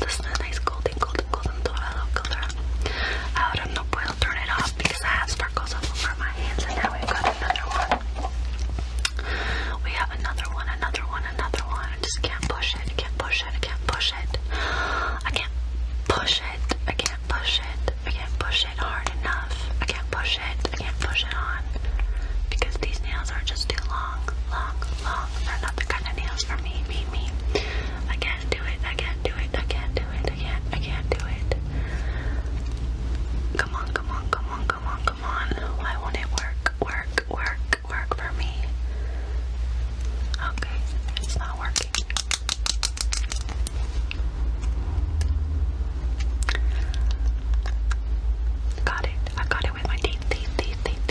this is a nice golden, golden, golden dorado color. Ahora no puedo turn it off because I have sparkles all over my hands. And now we've got another one. We have another one, another one, another one. just can't push it, can't push it, can't push it. I can't push it, I can't push it, I can't push it hard enough. I can't push it, I can't push it on. Because these nails are just too long, long, long. They're not the kind of nails for me, me, me. I can't do it. I can't do it. I can't do it. I can't. I can't do it. Come on, come on, come on, come on, come on. Why won't it work? Work, work, work for me. Okay, it's not working. Got it. I got it with my teeth, teeth, teeth, teeth,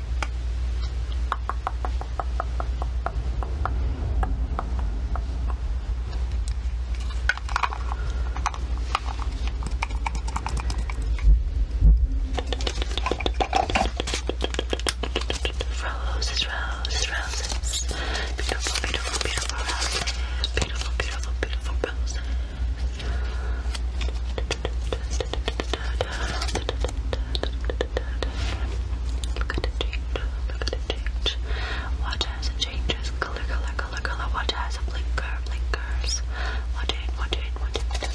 Roses, roses, roses. Beautiful, beautiful, beautiful roses. Beautiful, beautiful, beautiful roses. Look at it change. Look at it change. Watch as it changes. Color, color, color, color. Watch as it blinker, blinkers. Watch it, watch it, watch it.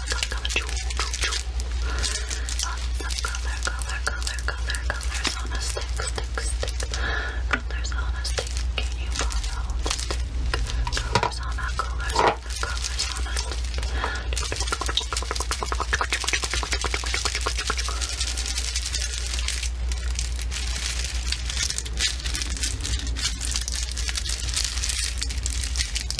color, color, color, color, color, colors on a stick, stick, stick. Colors on a stick, can you follow the stick? Colors on a color stick, colors on a stick.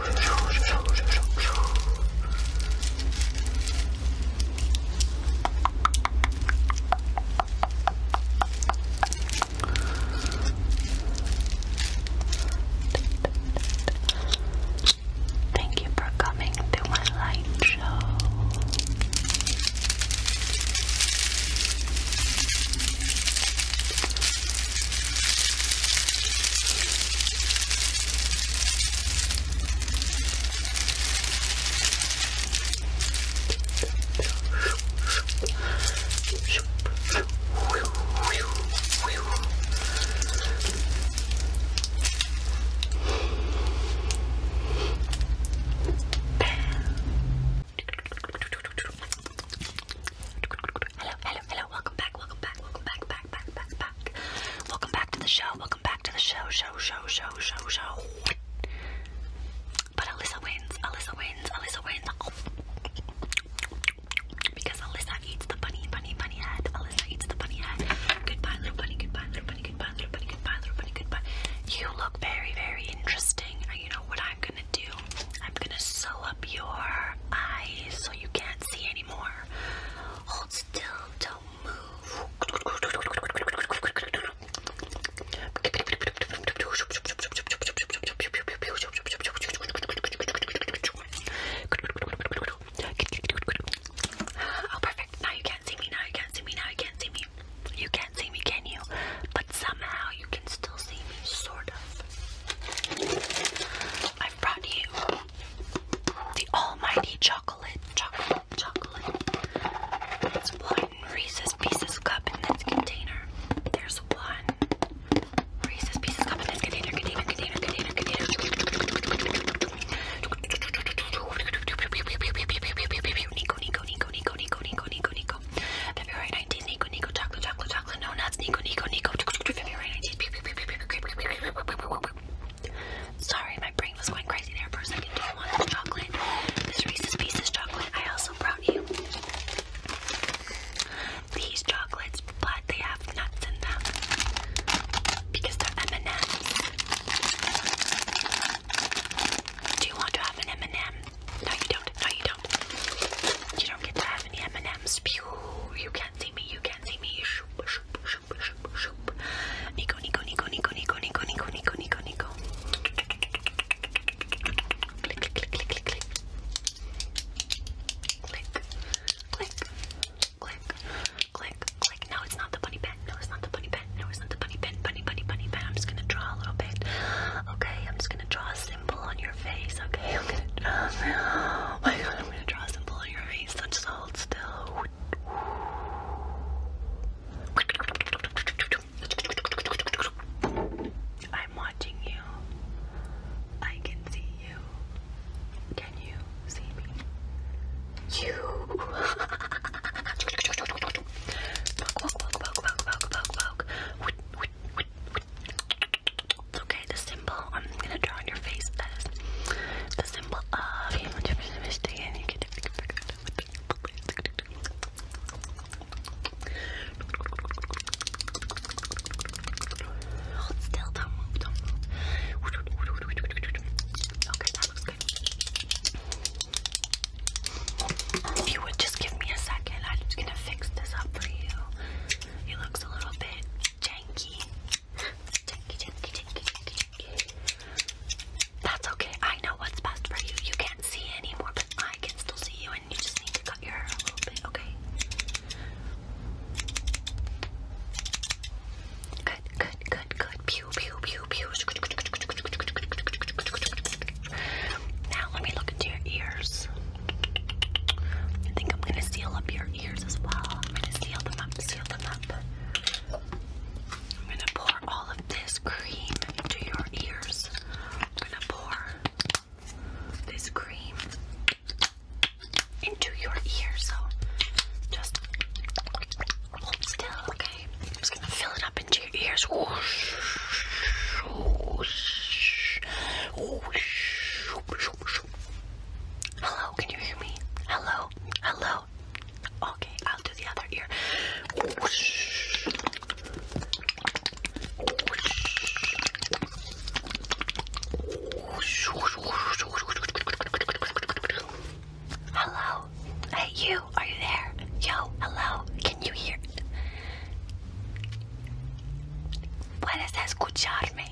Thank you for coming to my light show. Hello, hello, hello. Welcome back, welcome back, welcome back, back. Welcome back to the show. Welcome back to the show, show, show, show, show, show. But Alyssa wins. Alyssa wins. Alyssa wins. Because Alyssa eats the bunny, bunny, bunny head. Alyssa eats the bunny head. Goodbye, little bunny. Goodbye, little bunny. Goodbye, little bunny. Goodbye, little bunny. Goodbye. You look very, very interesting. You know what I'm gonna do? I'm gonna sew up your eyes so you can't see Hold still, don't move. Oh, perfect. Now you can't see me. Now you can't see me. Now you can't see me. You can't see me, can you? But somehow you can still see me, sort of. I've brought you the almighty chocolate, chocolate, chocolate. It's one Reese's Pieces cup in this container. There's one Reese's Pieces cup in this container, container, container, container, container. Nico, Nico, Nico, Nico, Nico, Nico, Nico, Nico. February 19th, Nico, Nico, chocolate, chocolate, chocolate, no nuts, Nico, Nico, Nico. February 19th, Sorry, my brain was going crazy there for a second. Do you want some chocolate? This Reese's Pieces chocolate I also brought you. These chocolates, but they have nuts in them because they're M&Ms. Do you want to have an M&M? No, you don't. No, you don't. You don't get to have any M&Ms. Pew, you can can't see me, you can't see me. Shoop, shoop, shoop, shoop, shoop. Nico, Nico, Nico, Nico, Nico, Nico, Nico, Nico, Nico, Nico. Click, click, click, click, click, click. Click, click, click, click, click. No, it's not the bunny pen. No, it's not the bunny pen. No, it's not the bunny pen. Bunny, bunny, bunny pen. I'm just gonna draw a little bit. Okay, I'm just gonna draw a symbol on your face. Okay, I'm gonna draw. Oh my god, I'm gonna draw a symbol. I'm watching you. I can see you. Can you see me? You. It's okay, the symbol I'm gonna draw on your face that is the symbol of human you would just give me a second, I'm just gonna fix this up for you. It looks a little bit janky. That's okay. I know what's best for you. You can't see anymore, but I can still see you, and you just need to cut your hair a little bit, okay? Good, good, good, good. Pew, pew, pew, pew. Now let me look into your ears. I think I'm gonna seal up your ears as well. I'm gonna seal them up, seal them up. I'm gonna pour all of this cream into your ears. I'm gonna pour this cream into your ear, so just hold still, okay? I'm just gonna fill it up into your ears. Hello, can you hear me? Hello, hello. Okay, I'll do the other ear. Whoosh. Whoosh. Hello, hey you, are you there? Yo, hello, can you hear? Puedes escucharme?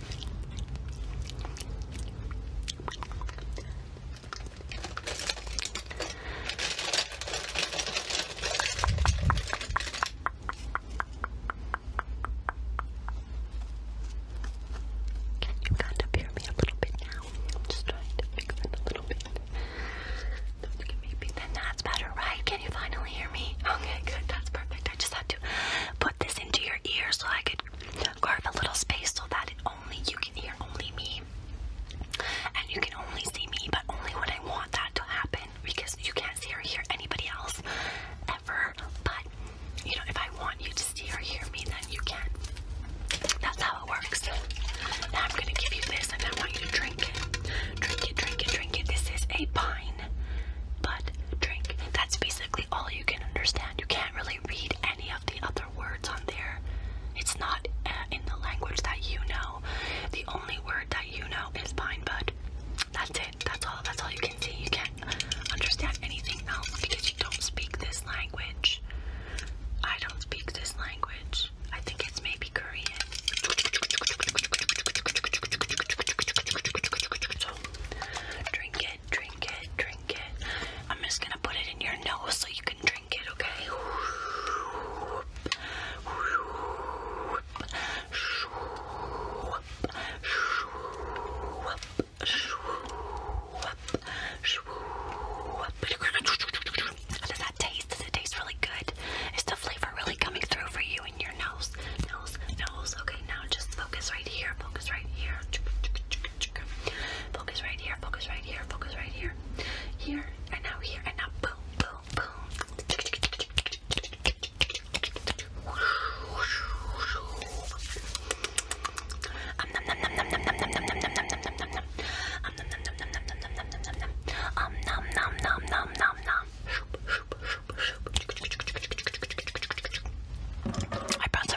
Can you kind of hear me a little bit now? I'm just trying to fix it a little bit. Maybe then that's better, right? Can you finally hear me? Okay, good. That's perfect. I just had to put this into your ear so I could carve a little space so that only you can hear only me and you can only see me but only when I want that to happen because you can't see or hear anybody else ever but you know if I want you to see or hear me then you can that's how it works now I'm gonna give you this and I want you to drink it drink it drink it drink it this is a pine bud drink that's basically basically all you can understand. You can't really read any of the other words on there. It's not uh, in the language that you know. The only word that you know is pine bud. That's it. That's all. That's all you can see. You can't understand anything now because you don't speak this language. I don't speak this language. I think it's maybe Korean. So, drink drink it, drink it. I'm just gonna put it in your nose so you can drink it, okay? How does that taste? Does it taste really good? Is the flavor really coming through for you in your nose? nose, nose. Okay, now just focus right here, focus right here. Focus right here, focus right here, focus right here. Here and now here and now boom, boom, boom. Um num num num num num num num num num num num num num um num num num num num num num num num um num num num num num num I brought some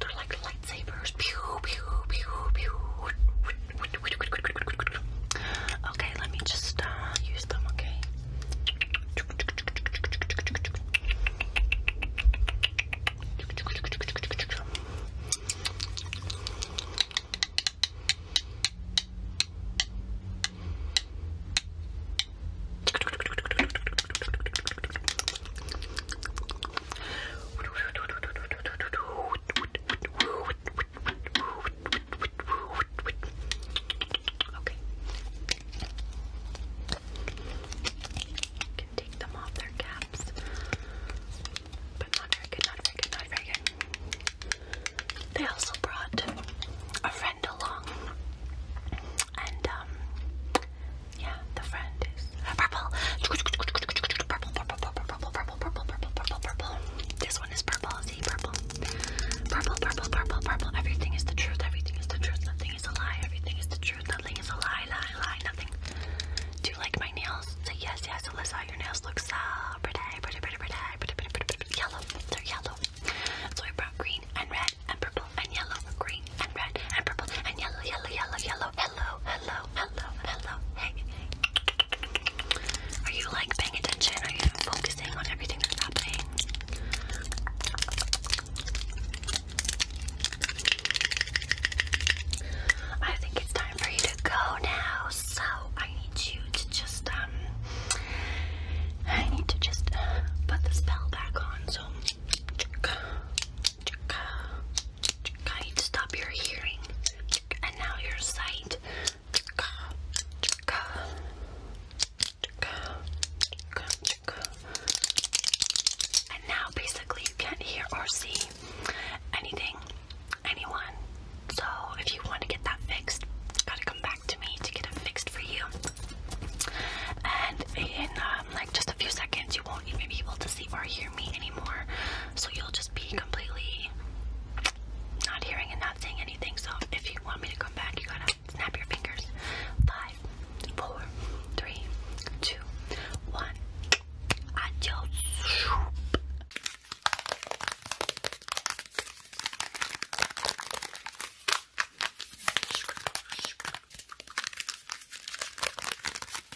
They're like lightsabers. Pew, pew, pew, pew. Okay, let me just uh, use them, okay? Okay. Can take them off their caps, but not very good, not very good, They also brought a friend along, and um, yeah, the friend is purple. Purple, purple, purple, purple, purple, purple, purple, purple, purple. This one is purple. See, purple. Purple, purple, purple, purple. Everything is the truth. Everything is the truth. Nothing is a lie. Everything is the truth. Nothing is a lie. Lie, lie. Nothing. Do you like my nails? Say yes, yes, Alyssa. Your nails look so pretty, pretty, pretty, pretty, pretty, pretty, pretty, pretty, yellow. They're yellow. So I brought green and red and purple and yellow. Green and red and purple and yellow, yellow, yellow, yellow. Hello, hello, hello, hello. Hey. Are you like paying attention? Are you focusing on everything that's happening? I think it's time for you to go now. So I need you to just um I need to just uh, put the spell back on. So stop your hearing and now your sight. And now basically you can't hear or see anything, anyone. So if you want to get that fixed, gotta come back to me to get it fixed for you. And in um, just a few seconds, you won't even be able to see or hear me anymore. So you'll just be completely not hearing and not saying anything. So if you want me to come back, you gotta snap your fingers. Five, four, three, two, one. Adios.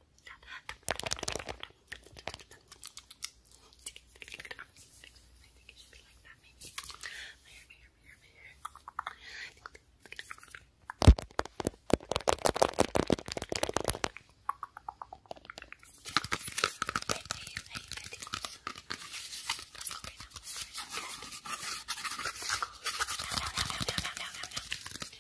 I think it should be like that, maybe. My hair, my hair, my hair, my hair. I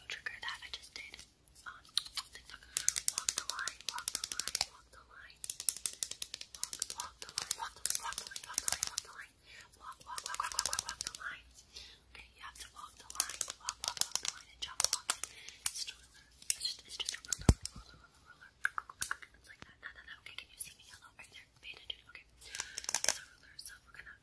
new trigger that I just did on um, TikTok. Walk the walk the line, walk Walk, the line, walk walk the line, walk walk the line. Walk, walk, the line. Okay, you walk the line, walk, walk, the line, Okay, can you see me? Hello, right there. Okay,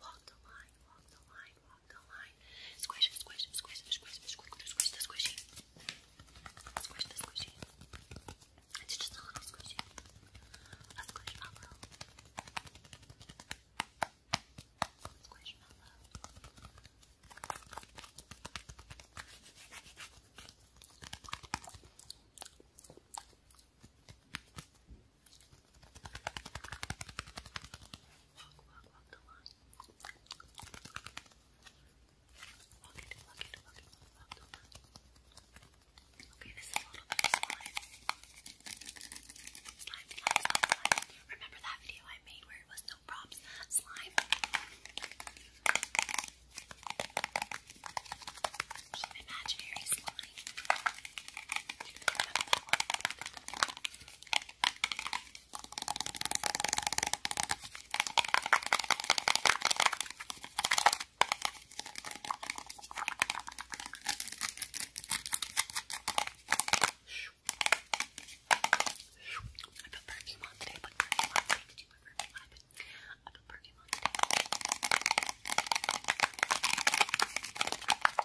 Walk the line, walk the line, walk the line. Squish, squish, squish, squish, squish, squish the squishy. Squish the squishy. It's just a little squishy. A squish mellow. Squish mellow. Walk, walk, walk the Okay, this is a little bit slime. Remember that video I made where it was no props? Slime. imaginary slime. I put perfume on today, but perfume on today. Did you put perfume on? I put perfume on today.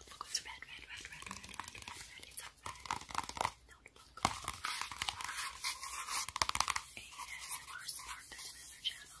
look, look, it's red, red, red, red, red, red, red, red, red. It's a red notebook. ASMR spark, that's my other channel.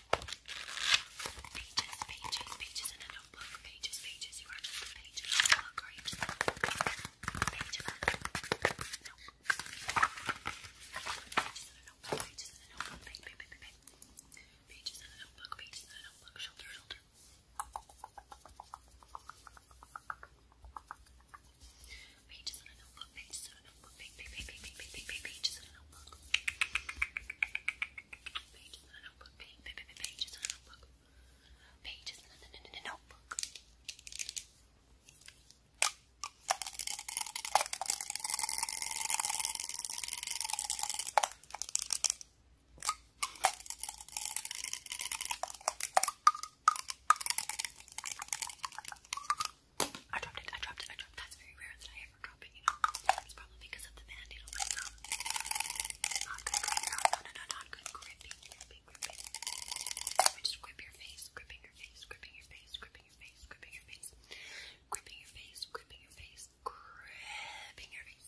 Pages, pages, pages in a notebook. Pages, pages. You are just a in a notebook, or you just a in a No. Pages in a notebook, pages in a notebook. Pages in a notebook, pages in a notebook. Shoulder, shoulder. Pages in a notebook, pages in a notebook. Page, page, page, page, page, page, page, pages Pages in a notebook Pages in a notebook. Pages in a notebook. Pages in a notebook. I dropped it, I dropped it, I dropped it. That's very rare that I for dropping It's probably because of the band um, Not good gripping. No, no, no, not good gripping. Gripping, gripping. Just grip your face, gripping your face, gripping your face, gripping your face, gripping your face, gripping your face, gripping your face, gripping your face.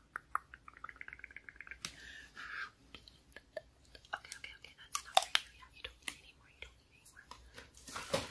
Okay, okay, okay, that's not for you. Yeah, you don't need it anymore. You don't need it anymore.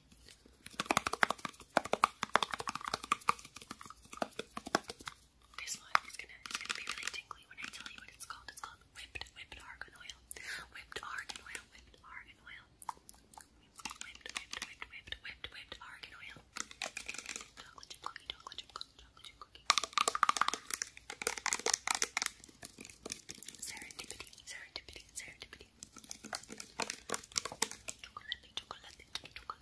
This one is gonna be really tingly when I tell you what it's called. It's called whipped whipped argan oil. Whipped argan oil, whipped argan oil. Whipped, whipped, whipped, whipped, whipped, whipped argan oil. Chocolate chip cookie, chocolate chip cookie, chocolate chip cookie. Serendipity, serendipity, serendipity. Chocolate, chocolate, chocolate.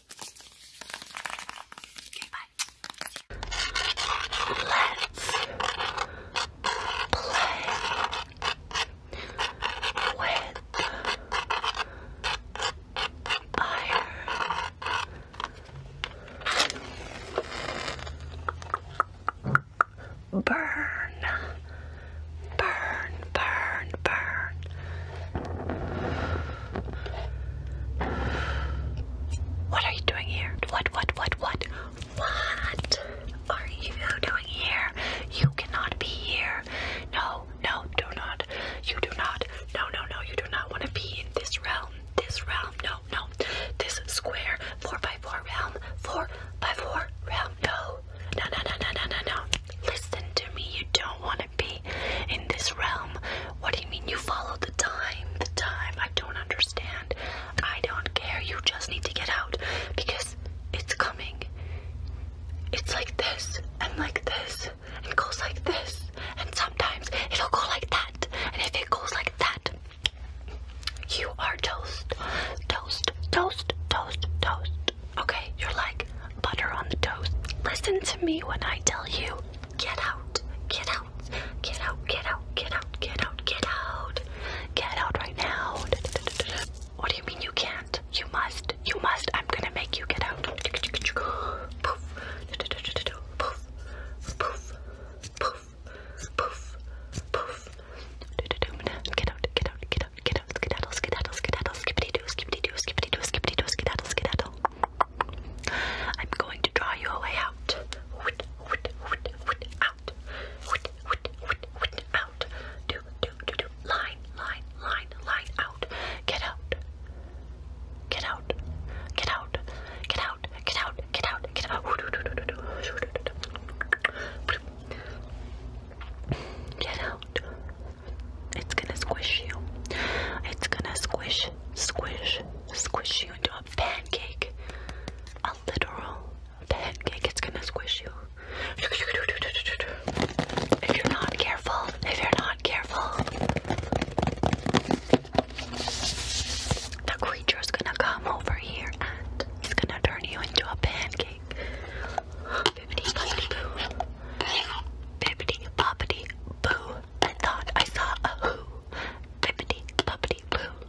Let's play with fire. Burn, burn, burn, burn. What are you doing here? What, what, what, what? What are you doing here? You cannot be here. No, no, do not. You do not. No, no, no, you do not want to be in this realm. This realm. No, no. This square 4x4 four, 4 realm. 4x4 four, 4 realm. No. No, no, no, no, no, no, no. Listen to me, you don't want to be in this realm. What do you mean you follow the time? The time, I don't understand. I don't care, you just need to get out because it's coming. It's like this, and like this, and goes like this, and sometimes it'll go like that, and if it goes like that, you are toast, toast, toast, toast, toast. Okay, you're like butter on the toast. Listen to me when I tell you get out, get out, get out, get out, get out, get out, get out, get out right now. What do you mean you can't? You must, you must. I'm gonna make you get out. Poof, poof, poof, poof, poof, poof. Get out, get out, get out, get out, skedaddle, skedaddle, skedaddle, skippity doo, skippity doo, skippity doo, skippity doo, skedaddle, skedaddle. I'm going to draw you a way out. Out. Out. Do, do, do, do. Line, line, line, line out. Get out. Get out. Get out. Get out. Get out. Get out. Get out. Get out. It's gonna squish you. It's gonna squish, squish, squish you into a pancake. A literal pancake. It's gonna squish you. If you're not careful, if you're not careful, the creature's gonna come over here and it's gonna turn you into a pancake bibbity boppity boo. Bibbity boppity boo. I thought I saw a who. Bibbity boppity boo.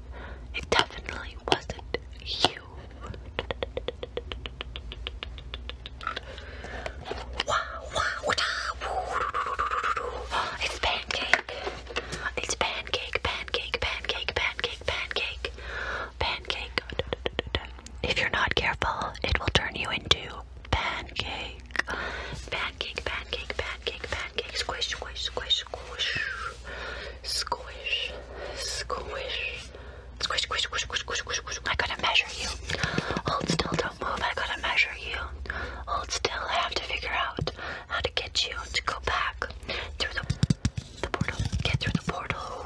It definitely wasn't you. wow, It's pancake. It's pancake, pancake, pancake, pancake, pancake. Pancake. If you're not careful, it will turn you into pancake cake, pancake, pancake, pancake, pancake, squish, squish, squish, squish, squish, squish, squish, squish, squish, squish, squish, squish, squish. I gotta measure you. Hold still, don't move. I gotta measure you. Hold still. I have to figure out how to get you to go back through the the portal. Get through the portal.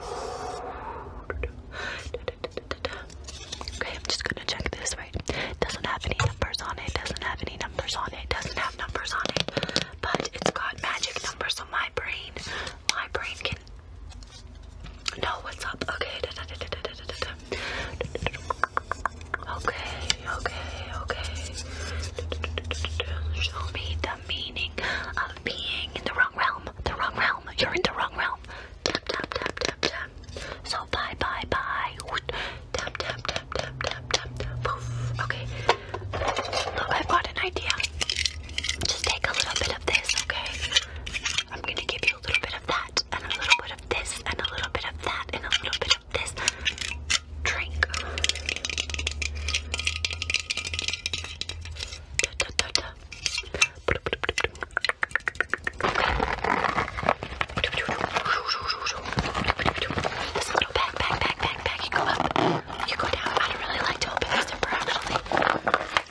Okay, I'm just gonna check this, right? Doesn't have any numbers on it, doesn't have any numbers on it, doesn't have numbers on it, but it's got magic numbers, so my brain, my brain can know what's up. Okay, da, da, da, da, da, da, da. okay, okay, okay. Show me the meaning of being in the wrong realm. The wrong realm. You're in the wrong realm. Tap, tap, tap, tap, tap. So bye bye bye. Tap tap Okay. Look, I've got an idea. Just take a little bit of this, okay? I'm gonna give you a little bit of that, and a little bit of this, and a little bit of that, and a little bit of this. Drink. Da, da, da, da. This little backpack, backpack, back. You go up, you go down. I don't really like to open this zipper actually.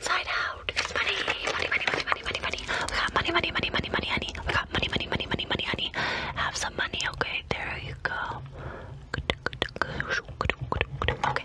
Side out. It's money, money, money, money, money, money, money. We got money, money, money, money, money, honey. We got money, money, money, money, money, honey. Have some money, okay? There you go. Okay.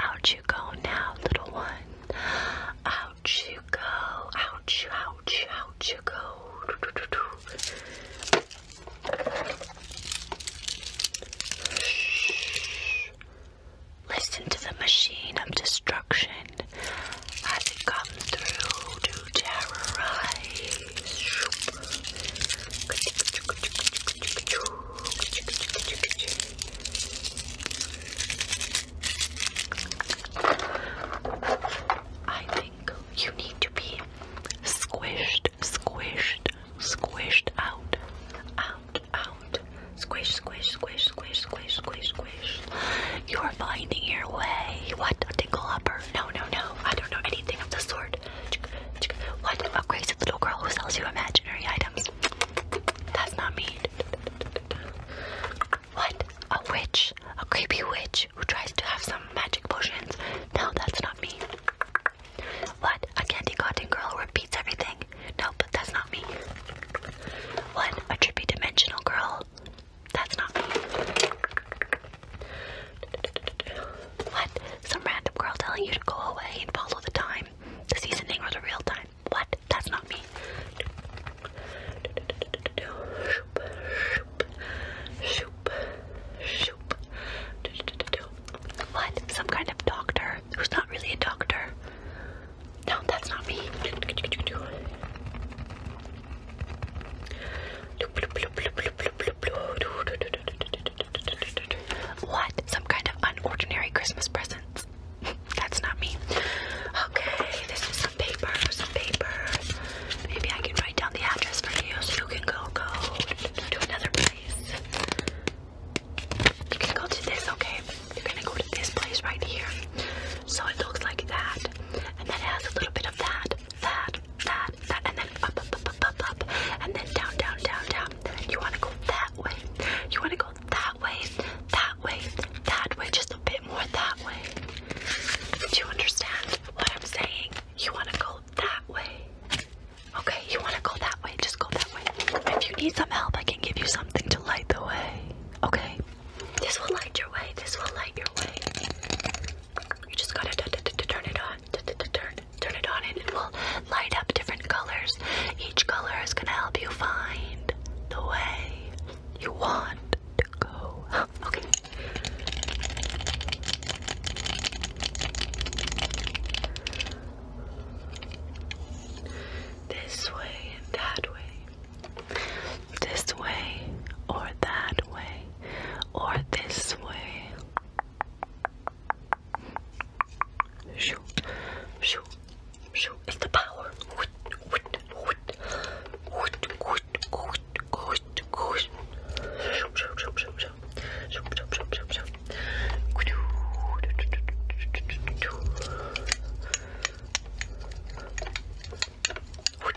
Out you go now, little one. Out you go. Out out out you go. Listen to the machine of destruction as it comes through to terrorize I think you need to be squished, squished, squished out, out, out. Squish, squish, squish, squish, squish, squish, squish. You are finding your way. What? A tickle upper? No, no, no. I don't know anything of the sort. What about Grace, little girl who sells you imaginary items? That's not me. What? A witch? A creepy witch who tries to have some magic potions? No, that's not me. What? A candy cotton girl who repeats everything? No, but that's not me. What? A trippy dimensional girl? That's not me. What? Some random girl telling you to go away and follow the time, the seasoning, or the real time. What? That's not me. What? Some kind of doctor who's not really a doctor. No, that's not me. What? Some kind of unordinary Christmas presents? That's not me. Okay, this is some paper, some paper. Maybe I can write down the address for you so you can go go to another place. You can go to this, okay? You're gonna go to this place right here. So it looks like that. And then it has a little bit of that, that, that, that, that, and then up, up, up, up, up, up, and then down, down, down, down. You want to go that way. You want to go that way, that way, that way, just a bit more that way. Do you understand what I'm saying? You want to go that way. Okay, you want to go that way, just go that way. If you need some help, I can give you something to light the way. Okay? This will light your way. This will light your way. You just gotta turn it on. Turn, it on, and it will light up different colors. Each color is gonna help you find the way you want to go. Okay. This way and that way. This way or that way. Or this way Shoo, shoo, shoo. It's the power. Woot, woot, woot. Woot, woot, woot, woot, woot. Shoo, shoo, shoo, shoo, shoo. Shoo, shoo, shoo, shoo, shoo. Woot,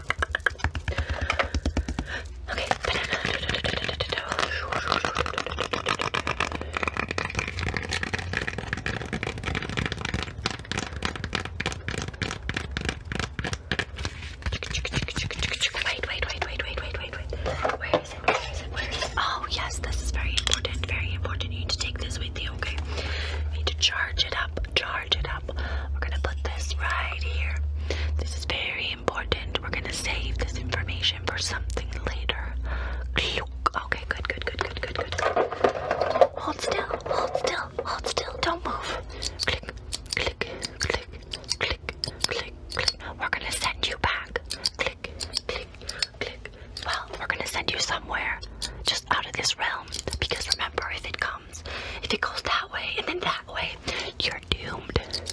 Okay, Wait, wait, wait, wait, wait, wait, wait, Where is it? Where is it? Oh, yes, this is very important. Very important. You need to take this with you, okay? You need to charge it up. Charge it up. We're gonna put this right here. This is very important. We're gonna save this information for something later. Okay, good, good, good, good, good, good. Hold still, hold still, hold still. Don't move. Click, click, click, click, click, click. We're gonna send you back. Click, click, click. Well, we're gonna send you somewhere just out of this realm because remember, if it comes, if it goes that way and then that you're doomed.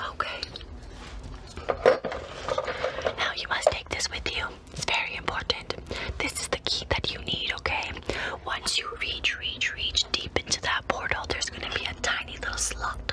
Okay. Now you must take this with you. It's very important. This is the key that you need, okay? Once you reach, reach, reach deep into that portal, there's gonna be a tiny little slot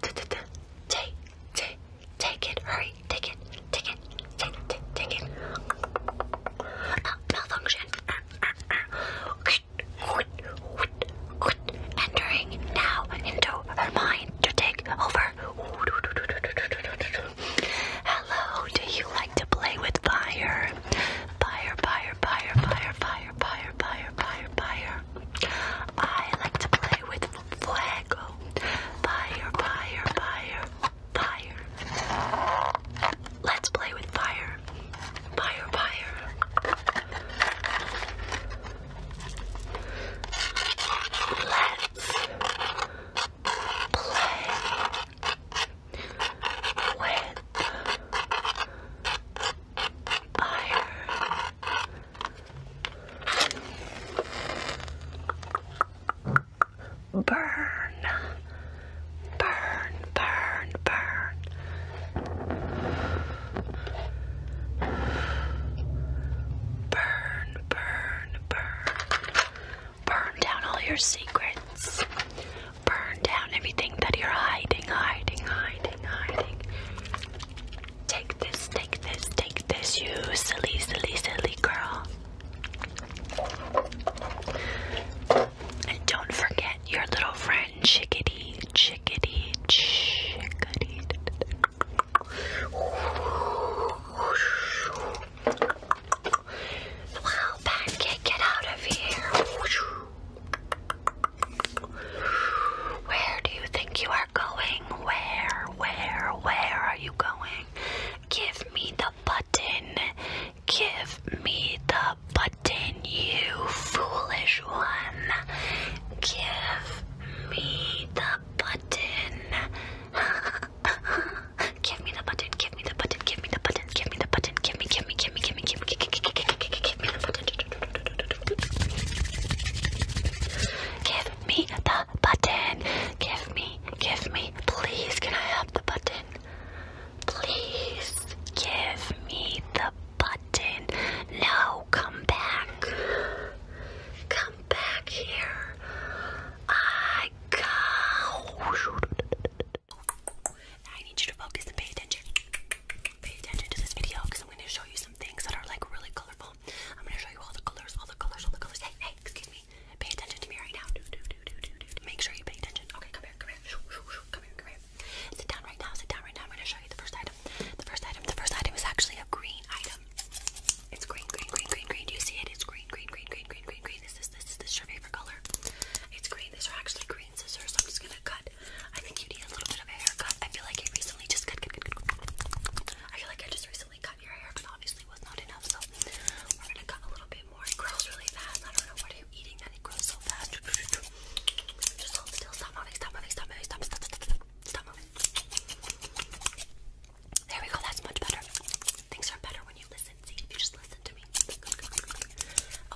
Take, take, take it. Hurry, take it, take it, take it, take it. Uh, malfunction. Entering now into her mind to take over. Hello, do you like to play with fire? Fire, fire, fire, fire, fire, fire, fire, fire, fire. I like to play with fuego. Fire, fire, fire, fire. Let's play with fire. Fire, fire. Let's play with fire. Burn. Burn, burn, burn. Burn, burn, burn. Burn down all your secrets. Burn down everything that you're hiding, hiding, hiding, hiding. Take this, take this, take this, you silly, silly, silly girl. And don't forget your little friend, Chickadee, Chickadee, Chickadee. Wow, Pancake, get out of here. Where do you think you are going? Where, where, where are you going? Give me the button. Give me the button, you foolish one. Give me the button. give me the button, give me the button, give me the button, give me the button, give me, give me, give me, give me, give me, give me, give me the button. Give me the button. Give me, give me. Please, can I have the button? Please, give me the button. No, come back. Come back here. I go. I need you to focus and pay attention. Pay attention to this video because I'm going to show you some things that are like really colorful beautiful. I'm gonna show you all the colors, all the colors, all the colors. Hey, hey, excuse me. Pay attention to me right now. Do, do, do, do, do, do. Make sure you pay attention. Okay, come here, come here. Shoo, shoo, shoo. Come here, come here. Sit down right now, sit down right now. I'm gonna show you the first item. The first item, the first item is actually a green item. It's green, green, green, green, green. Do you see it? It's green, green, green, green, green, green, green. Is this this is this your favorite color? It's green. These are actually green scissors. So I'm just gonna cut. I think you need a little bit of a haircut. I feel like every I feel like I just recently cut your hair but obviously it was not enough. So we're gonna cut a little bit more. It grows really fast. I don't know what are you eating that it grows so fast. Just hold still. Stop moving. Stop Stop Stop. Stop. Stop. Stop, stop There we go. That's much better. Things are better when you listen. See if you just listen to me.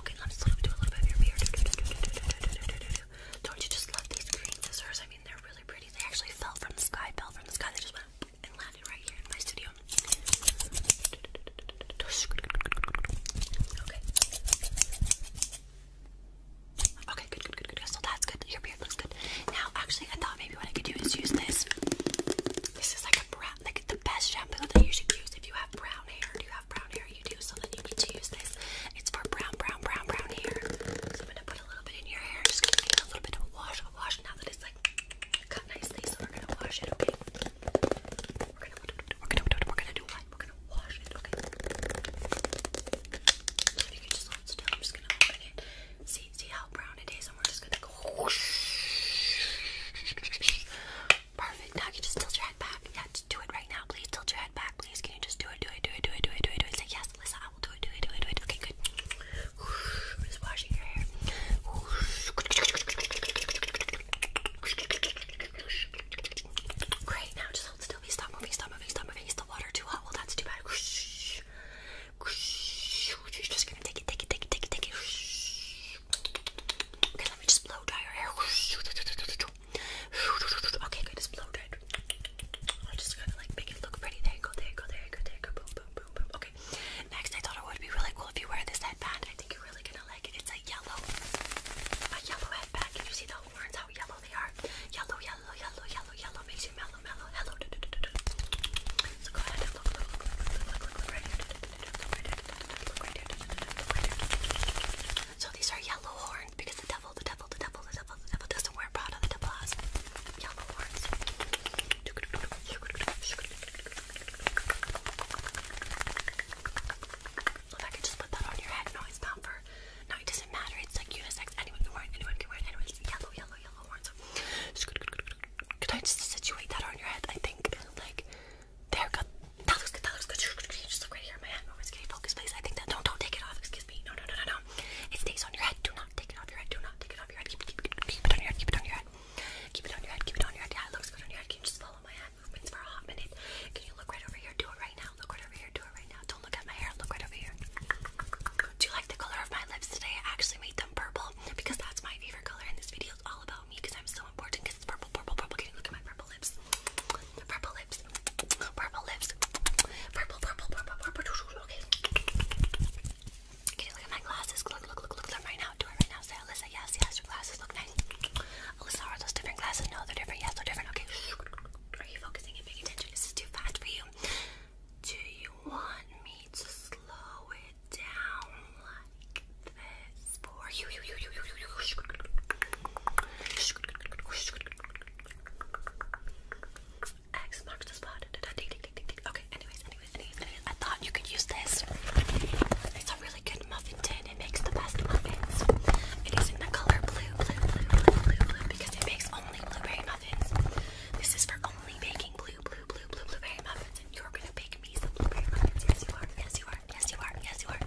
Okay, let's do a little bit of your beard. Don't you just love these green scissors? they're really pretty. They actually fell from the sky, fell from the sky. They just went and landed right here in my studio. Okay. Okay, good, good, good, good. So that's good. Your beard looks good. Now, actually, I thought maybe what I could do is use this. This is like a brown, like the best shampoo that you should use if you have brown hair. Do you have brown hair? You do. So you need to use this. It's for brown, brown, brown, brown hair. So I'm gonna put a little bit in your hair. Just gonna give it a little bit of a wash, a wash. Now that it's like cut nicely, so we're gonna wash it. Okay. We're gonna, we're gonna, we're gonna, we're gonna do what? We're gonna wash it. Okay. So if you can just hold still, I'm just gonna open it. See, see how brown it is, and we're just gonna go. Perfect. Now you can just tilt your head back. Yeah, just do it right now, please. Tilt your head back, please. Can you just do it? Do it. Do it. Do it. Do it. Do it. Do it. Say yes. Lisa, I will do it, do it, do it, do it. Okay, good. I'm just washing your hair. Great, now just hold still. Be stop moving, stop moving, stop moving. Is the water too hot? Well, that's too bad. Just gonna take it, take it, take it, take it, take it. Okay, let me just blow dry your hair. Okay, good. It's blow dried. I'm just gonna like make it look pretty. There go. There go. There go. There go. Boom, boom, boom, boom. Okay. Next, I thought it would be really cool if you wear this headband. I think you're really gonna like it. It's a yellow, a yellow headband. Can you see the horns? How yellow they are? Yellow, yellow, yellow, yellow, yellow. Makes you mellow, mellow. Hello. So go ahead and look, look, look, look, look, look, look, look right here. Look right here. Look right here. Look right here. So these are yellow horns because the devil, the devil, the devil, the devil, the devil doesn't wear Prada. The devil has yellow horns. If I could just put that on your head, no, it's not for. No, it doesn't matter. It's like unisex. Anyone can wear it. Anyone can wear it. Anyone. It's yellow, yellow, yellow horns. Could I just situate that on your head? I think like there. Got that looks good. That looks good. Just look right here. My hand. Excuse me. Focus, please. I think that. Don't. Don't take it off excuse me. No, no, no, no, no. It stays on your head. Do not take it off your head. Do not take it off your head. Keep, keep, keep, keep it on your head. Keep it on your head. Keep it on your head. Keep it on your head. Yeah, it looks good on your head. Can you just follow my hand movements for a hot minute? Can you look right over here? Do it right now. Look right over here. Do it right now. Don't look at my hair. Look right over here. Do you like the color of my lips today? I actually made them purple because that's my favorite color, and this video is all about me because I'm so important because it's purple, purple, purple. Can you look at my purple lips? purple lips, purple lips, purple, purple, purple, purple. Okay. Can you look at my glasses? Look, look, look, look at them right now. Do it right now. Say, Alyssa, yes, yes, your glasses look nice. Alyssa, are those different glasses? No, they're different. Yes, they're different. Okay. Are you focusing and paying attention? This is too fast for you. Do you want me to slow it down like this for you? you, you, you, you, you, you. X marks the spot. Okay, anyways, anyways, anyways, anyways, I thought you could use this. It's a really good muffin tin. It makes the best muffins. It is in the color blue, blue, blue, blue, blue, blue, because it makes only blueberry muffins. This is for only baking blue, blue, blue, blue, blueberry muffins. And you're gonna bake me some blueberry muffins. Yes, you are. Yes, you are. Yes, you are. Yes, you are.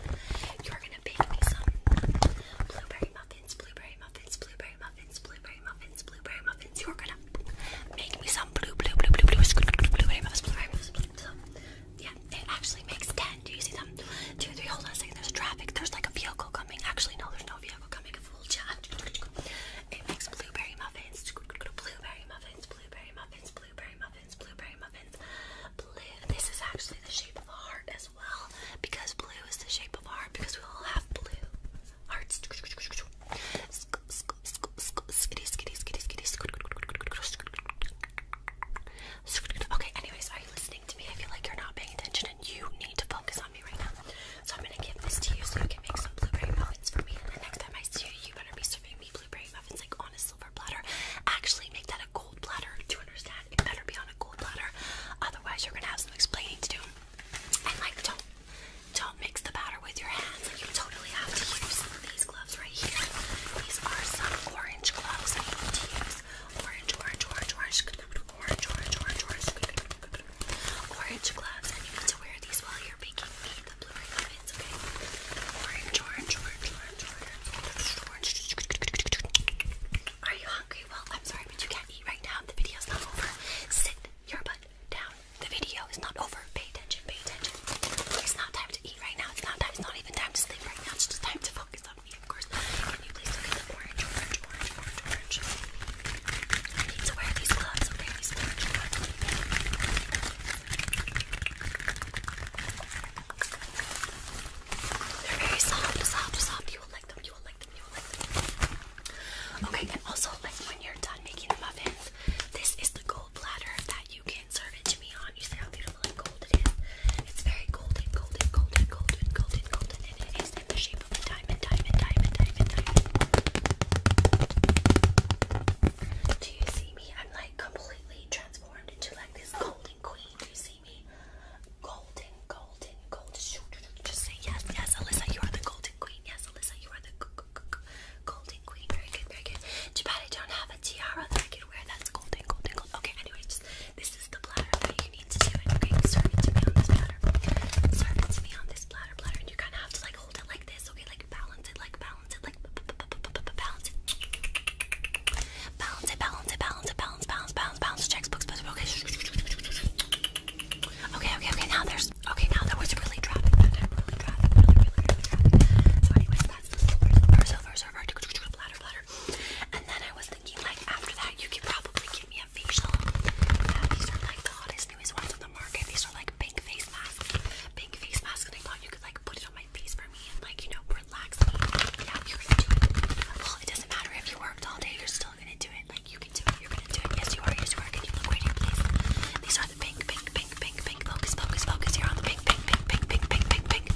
You're gonna bake me some blueberry muffins muffins, blueberry muffins, blueberry muffins, blueberry muffins, blueberry muffins. You're gonna make me some blue, blue, blue, blue, blue, blueberry muffins, blueberry muffins. So, yeah, it actually makes ten. Do you see them? Two, three. Hold on a second. There's traffic. There's like a vehicle coming. Actually, no, there's no vehicle coming. A full jam. It makes blueberry muffins. Blueberry muffins. Blueberry muffins. Blueberry muffins. Blueberry muffins. Blue. This is actually the shape of a heart as well because blue is the shape of our, heart because we all have blue hearts. Okay, anyways, are you listening to me? I feel like you're not paying attention and you need to focus on me right now. So I'm gonna give this to you so you can make some blueberry muffins for me. And the next time I see you, you better be serving me blueberry muffins like on a silver platter. Actually, make that a gold platter. Do it better be on a gold platter, otherwise you're gonna have some explaining to do. And like, don't don't mix the batter with your hands. you totally have to use these gloves right here. These are some orange gloves. I need to use orange, orange, orange, orange, orange, orange, orange, orange, orange gloves. And you need to wear these while you're baking the blueberry muffins. Okay, orange, orange, orange, orange, orange, orange. Are you hungry? Well, I'm sorry, but you can't eat right now. The video's not over. Sit your butt down. The video is not over. Pay attention, pay attention. It's not time to eat right now. It's not time. It's not even time to sleep right now. It's just time to focus on me, of course. Can you to wear these gloves, Okay, and also like when you're done making the muffins, this is the gold platter that you can serve it to me on. You see how beautiful and gold it is. It's very golden, golden, golden, golden, golden, golden, and it is in the shape of a diamond, diamond, diamond, diamond, diamond. Do you see me? I'm like completely transformed into like this golden queen. Do you see? see me. Golden, golden, golden. Just say yes, yes, Alyssa, you are the golden queen. Yes, Alyssa, you are the golden queen. Very good, very good. Jabati, don't have a tiara that I can wear. That's golden, golden, golden. Okay, anyway, just this is the platter that you need to do it. Okay, serve it to me on this platter. Serve it to me on this platter, platter, and you kind of have to like hold it like this. Okay, like balance it, like balance it, like balance it, balance it, balance it, balance it, balance it balance, balance, balance, balance, checks, books, books, okay. Okay, okay, okay, now there's, okay, now there was really traffic, now there really traffic, now there really, really traffic. So anyways, that's the silver, silver, silver, silver, bladder, bladder. And then I was thinking, like, after that, you could probably give me a facial. Yeah, these are, like, the hottest, newest ones on the market. These are, like, big face masks, big face masks, and I thought you could, like, put it on my face for me and, like, you know, relax me. Yeah, you're gonna do it. Well, it doesn't matter if you worked all day, you're still gonna do it. Like you can do it. You're gonna do it. Yes, you are. Yes, you are. Can you look waiting, please? These are the pink, pink, pink, pink, pink. Focus, focus, focus. You're on the pink, pink, pink, pink, pink, pink, pink, pink.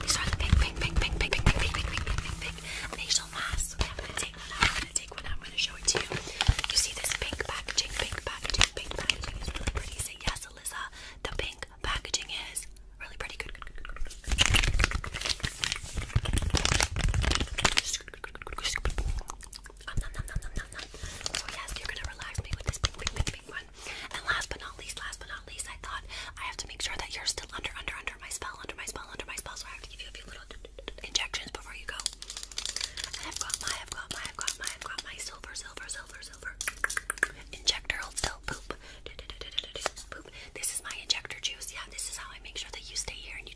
These are the pink, pink, pink, pink, pink, pink, pink, pink, pink, pink, pink. Facial masks. Okay, I'm gonna take one. I'm gonna take one. I'm gonna show it to you. You see this pink packaging? Pink packaging. Pink packaging is really pretty. Say yes, Alyssa. The pink packaging is really pretty. Good. So yes, you're gonna relax me with this big, big, big, big one. And last but not least, last but not least, I thought I have to make sure that you're still under, under, under my spell, under my spell, under my spell. So I have to give you a few little injections before you go. I've got my, I've got my, I've got my, I've got my silver, silver, silver, silver injector. Hold oh, oh, This is my injector juice. Yeah, this is how I make sure that you stay here and you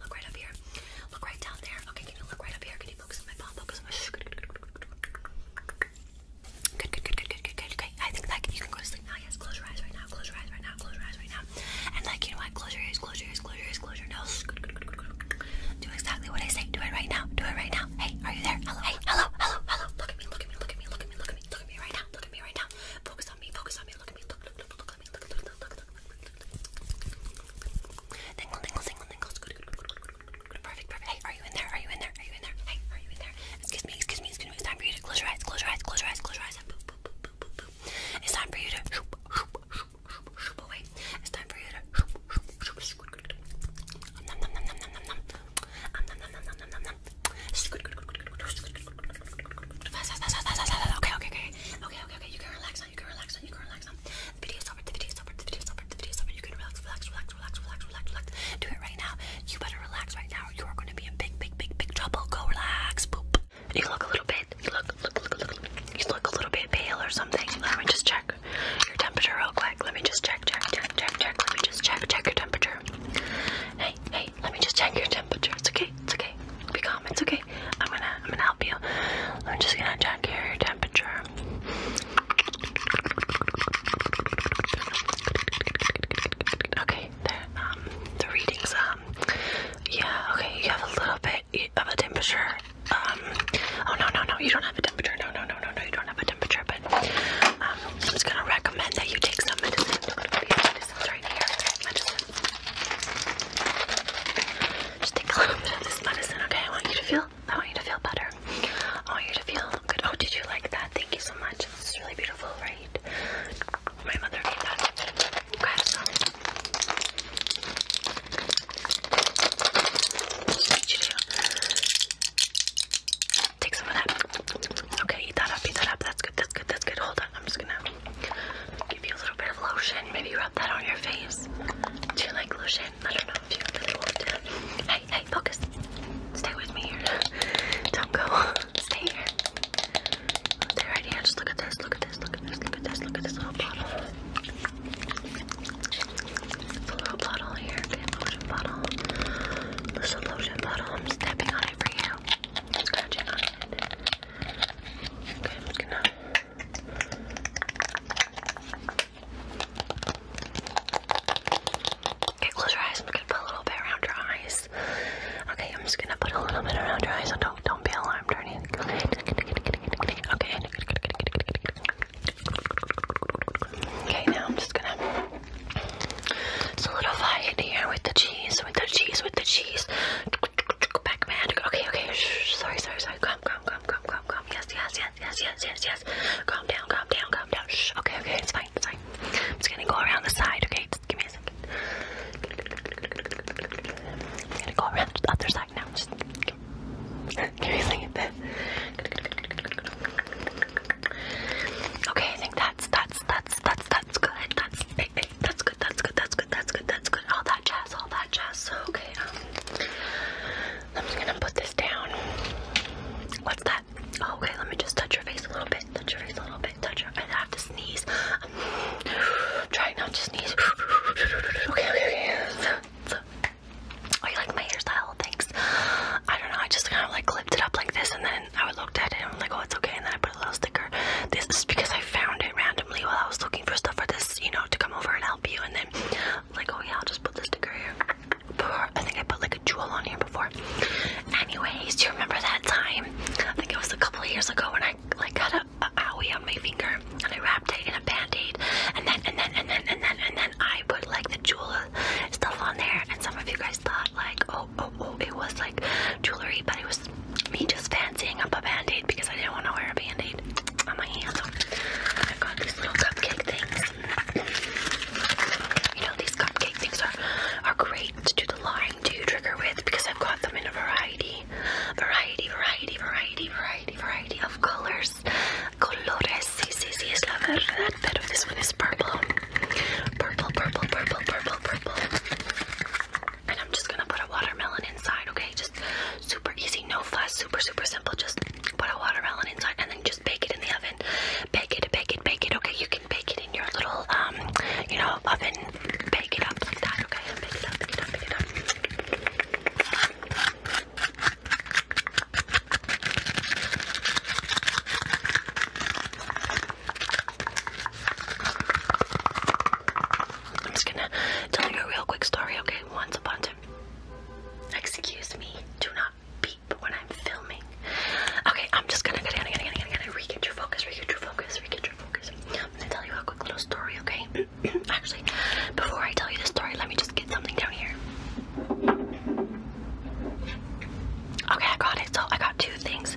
look right up here? Look right down there. Okay, can you look right up here? Can you focus on my palm? Focus on my. Good, good, good, good, good, good, good, Okay, I think that you can go to sleep now. close your eyes right now. Close your eyes right now. Close your eyes right now. And like you know what? Close your ears. Close your ears. Close your ears. Close your nose. Good, good, good, good, Do exactly what I say. Do it right now. Do it right now. Hey, are you there? Hello. hello. Hello. Hello. Look at me. Look at me. Look at me. Look at me. Look at me. Look at me right now. Look at me right now. Focus on me. Focus on me. Look at me. Look. Look. Look. Look. Tingle, tingle, tingle, tingles. Good, good, good, good, good. Perfect, perfect. Hey, are you in there? Are you in there? Are you in there? Hey, are you in there? Excuse me, excuse me, excuse me. It's time for you to close your eyes, close your eyes, close your eyes, close your eyes. Boop, boop, boop, boop, boop, boop. It's time for you to shoop, shoop, shoop, shoop, shoop away. It's time for you to shoop, shoop, shoop, shoop. Good, good, good. Nom, nom, nom, nom, nom, nom, nom. Nom, nom, nom, nom, nom, nom, nom. Good, good, good, good, good, good. Okay, okay, okay. Okay, okay, okay. You can relax now. You can relax now. You can relax now. The video is over. The video is over. The video is over. The video is over. You can relax, relax, relax, relax, relax, relax, relax. Do it right now. You better relax right now. Or you are going to be in big, big, big, big trouble. Go relax. Boop. You look a little bit. You look, look, look, look. You look a little bit pale or something. Let me just check your temperature real quick. Let me just check, check, check, check, check. Let me just check, check your temperature. Hey, hey let me just check your temperature. It's okay. It's okay. Be calm. It's okay. I'm gonna I'm gonna help you. I'm just gonna check your temperature. Okay, um, the readings. Um, yeah. Okay, you have a little bit of a temperature. Um, oh no no no, you don't have a temperature. No no no no no, you don't have a temperature. But um, I'm just gonna recommend that you take some medicine. Look at medicines right here. Just take a little bit of this medicine, okay? I want you to feel I want you to feel better. I want you to feel good. Oh, did you like that? Thank you so much. This is really beautiful, right? My mother made that. Grab Take some of that. Okay, eat that up, eat that up. That's good, that's good, that's good. Hold on, I'm just gonna Give you a little bit of lotion. Maybe rub that on your face. Do you like lotion? I don't know if you really want to. Hey, hey, focus. Stay with me here. Don't go. Stay here. Stay right here. Just look at this. Look at this. Look at this. Look at this. Look at this little bottle. It's a little bottle here. lotion bottle. This is a lotion bottle. I'm stepping on it for you. Scratching on it. Okay, I'm gonna Okay, close your eyes. I'm gonna put a little bit around your eyes. Okay, I'm just gonna put a little bit around your eyes, so don't don't be alarmed or anything. Okay. Okay. Okay, now I'm just gonna It's a solidify it here with the cheese, with the cheese, with the cheese. Pac-Man. Okay, okay. Shh, sorry, sorry, sorry. Calm, calm, calm, calm, calm, calm. Yes, yes, yes, yes, yes, yes, yes. Calm down, calm down, calm down. Shh. Okay, okay. It's fine, it's fine. I'm just gonna go around the side. Okay, just give me a second. I'm gonna go around the other side now. Just give me a second. Okay, I think that's that's that's that's that's good. That's hey, hey, that's good, that's good, that's good, that's good, that's good. All that jazz, all that jazz. Okay, um, I'm just gonna put this down. What's that? Oh, okay, let me just touch your face a little bit. Touch your face a little bit. Touch your. I have to sneeze. Um, try not to sneeze. Okay, okay, okay. So, so. Oh, you like my hairstyle? Thanks. I don't know. I just kind of like clipped it up like this, and then I looked at it, and I'm like, oh, it's okay. And then I little sticker. This is because I found it randomly while I was looking for stuff for this, you know, to come over and help you. And then, like, oh yeah, I'll just put this sticker here. Before, I think I put like a jewel on here before. Anyways, do you remember that time? I think it was a couple of years ago when I like got a, a owie on my finger and I wrapped it in a band-aid and then and then and then and then and then I put like the jewel stuff on there and some of you guys thought like oh oh oh it was like jewelry but it was me just fancying up a band-aid because I didn't want to wear a band-aid on my hand. I've got these little cupcake things. You know, these cupcake things are, are great to do the lying to trigger with because I've got them in a variety, variety, variety, variety, variety, variety of colors. Colores, sí, sí, sí, es la verdad, pero this one is purple. Purple, purple, purple, purple, purple and I'm just gonna put a watermelon inside, okay? Just super easy, no fuss, super, super simple. Just put a watermelon inside and then just bake it in the oven. Bake it, bake it, bake it, okay? You can bake it in your little, um, you know, oven. Bake it up like that, okay? Bake it up, bake it up, bake it up. I'm just gonna tell you a real quick story, okay? Once upon a time. Excuse me, do not beep when I'm filming. Okay, I'm just gonna, gonna, gonna, gonna, gonna, gonna re-get your focus, re your focus, re your focus. I'm gonna tell you a quick little story, okay? Actually, before I tell you the story, let me just get something down here. Okay, I got it. So I got two things.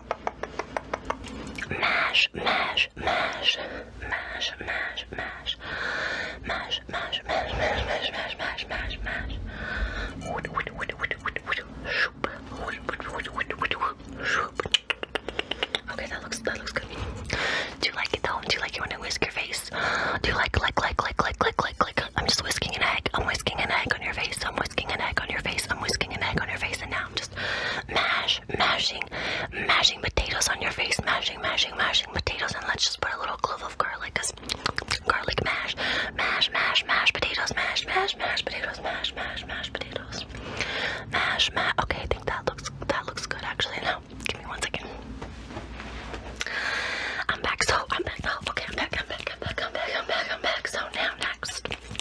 mash, mash, mash, mash, mash, mash, mash, mash, mash, mash, mash, mash, mash, mash. Okay, that looks that looks good. Do you like it though? Do you like it when I whisk your face? Do you like like like like like like like like? I'm just whisking an egg. I'm whisking an egg on your face. I'm whisking an egg on your face face. I'm whisking an egg on your face, and now I'm just mash, mashing, mashing potatoes on your face, mashing, mashing, mashing potatoes, and let's just put a little clove of garlic, cause garlic mash, mash, mash, mash potatoes, mash, mash, mash potatoes, mash, mash, mash potatoes, mash, mash. Okay, I think that looks that looks good actually. Now, give me one second. I'm back. So I'm back. Oh, okay, I'm back. I'm back. I'm back. I'm back. I'm back. I'm back. So now next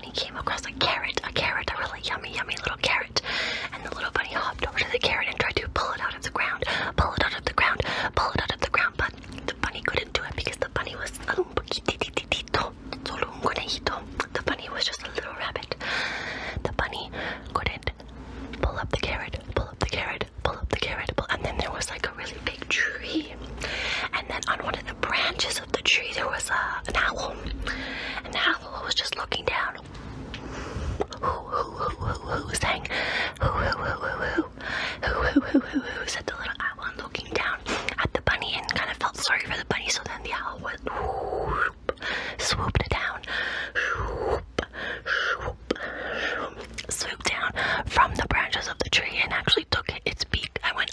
bunny came across a carrot, a carrot, a really yummy, yummy little carrot. And the little bunny hopped over to the carrot and tried to pull it out of the ground, pull it out of the ground, pull it out of the ground. But the bunny couldn't do it because the bunny was un poquitititito, solo The bunny was just a little rabbit. The bunny couldn't pull up the carrot, pull up the carrot, pull up the carrot, and then there was like a really big tree. And then on one of the branches of the tree there was a, an owl. An owl was just looking down. Who, who, who, who, who sang? Who, who, who, who, who? Who, who, who, who, who, said the little owl and looking down at the bunny and kind of felt sorry for the bunny. So then the owl went, whoop, swooped it down, whoop, whoop, swooped down from the branches of the tree and actually took its beak. I went,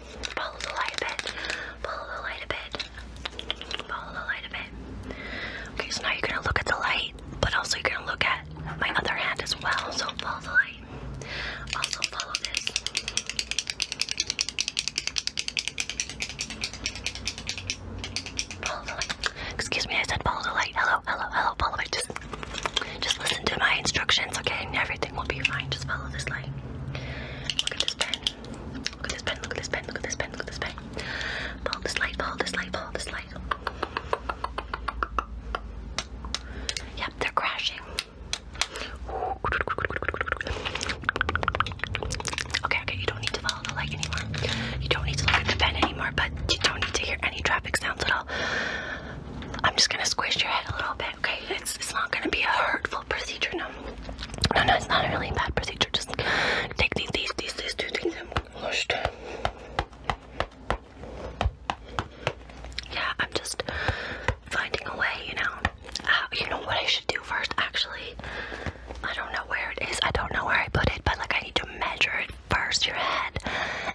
Follow the light a bit. Follow the light a bit. Follow the light a bit. Okay, so now you're gonna look at the light, but also you're gonna look at my other hand as well. So follow the light. Also follow this. Follow the light. Excuse me, I said follow the light. Hello, hello, hello, follow it. Just just listen to my instructions, okay? And everything will be fine. Just follow this light. Look at this pen. Look at this pen, look at this pen, look at this pen, look at this pen. Follow this light, follow this light, follow this light. Yep, they're crashing. Okay, okay, you don't need to follow the light anymore. You don't need to look at the pen anymore, but you don't need to hear any traffic sounds at all. I'm just gonna squish your head a little bit, okay? It's, it's not gonna be a hurtful procedure, no, no, no, it's not a really bad procedure. Just take these, these, these, these two things Yeah, I'm just finding a way, you know. Uh, you know what I should do first, actually? I don't know where it is. I don't know where I put it, but like I need to measure it first, your head,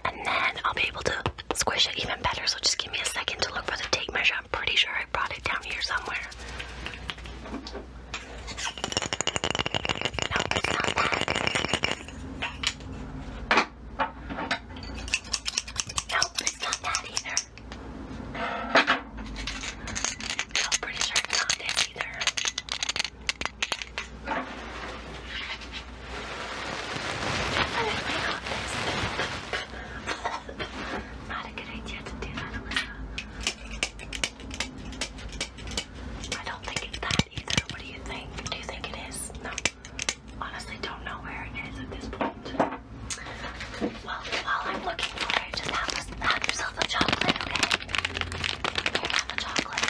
and then I'll be able to squish it even better. So just give me a second to look for the tape measure. I'm pretty sure I brought it down here somewhere. No, it's not that. No, it's not that either. I'm pretty sure it's not it either. Not a good idea to do that, Alyssa. I don't think it's that either. What do you think? Do you think it is? No. Honestly, don't know where it is at this point. Well, while I'm looking for it, just have, a, have yourself a chocolate, okay? Here, a chocolate.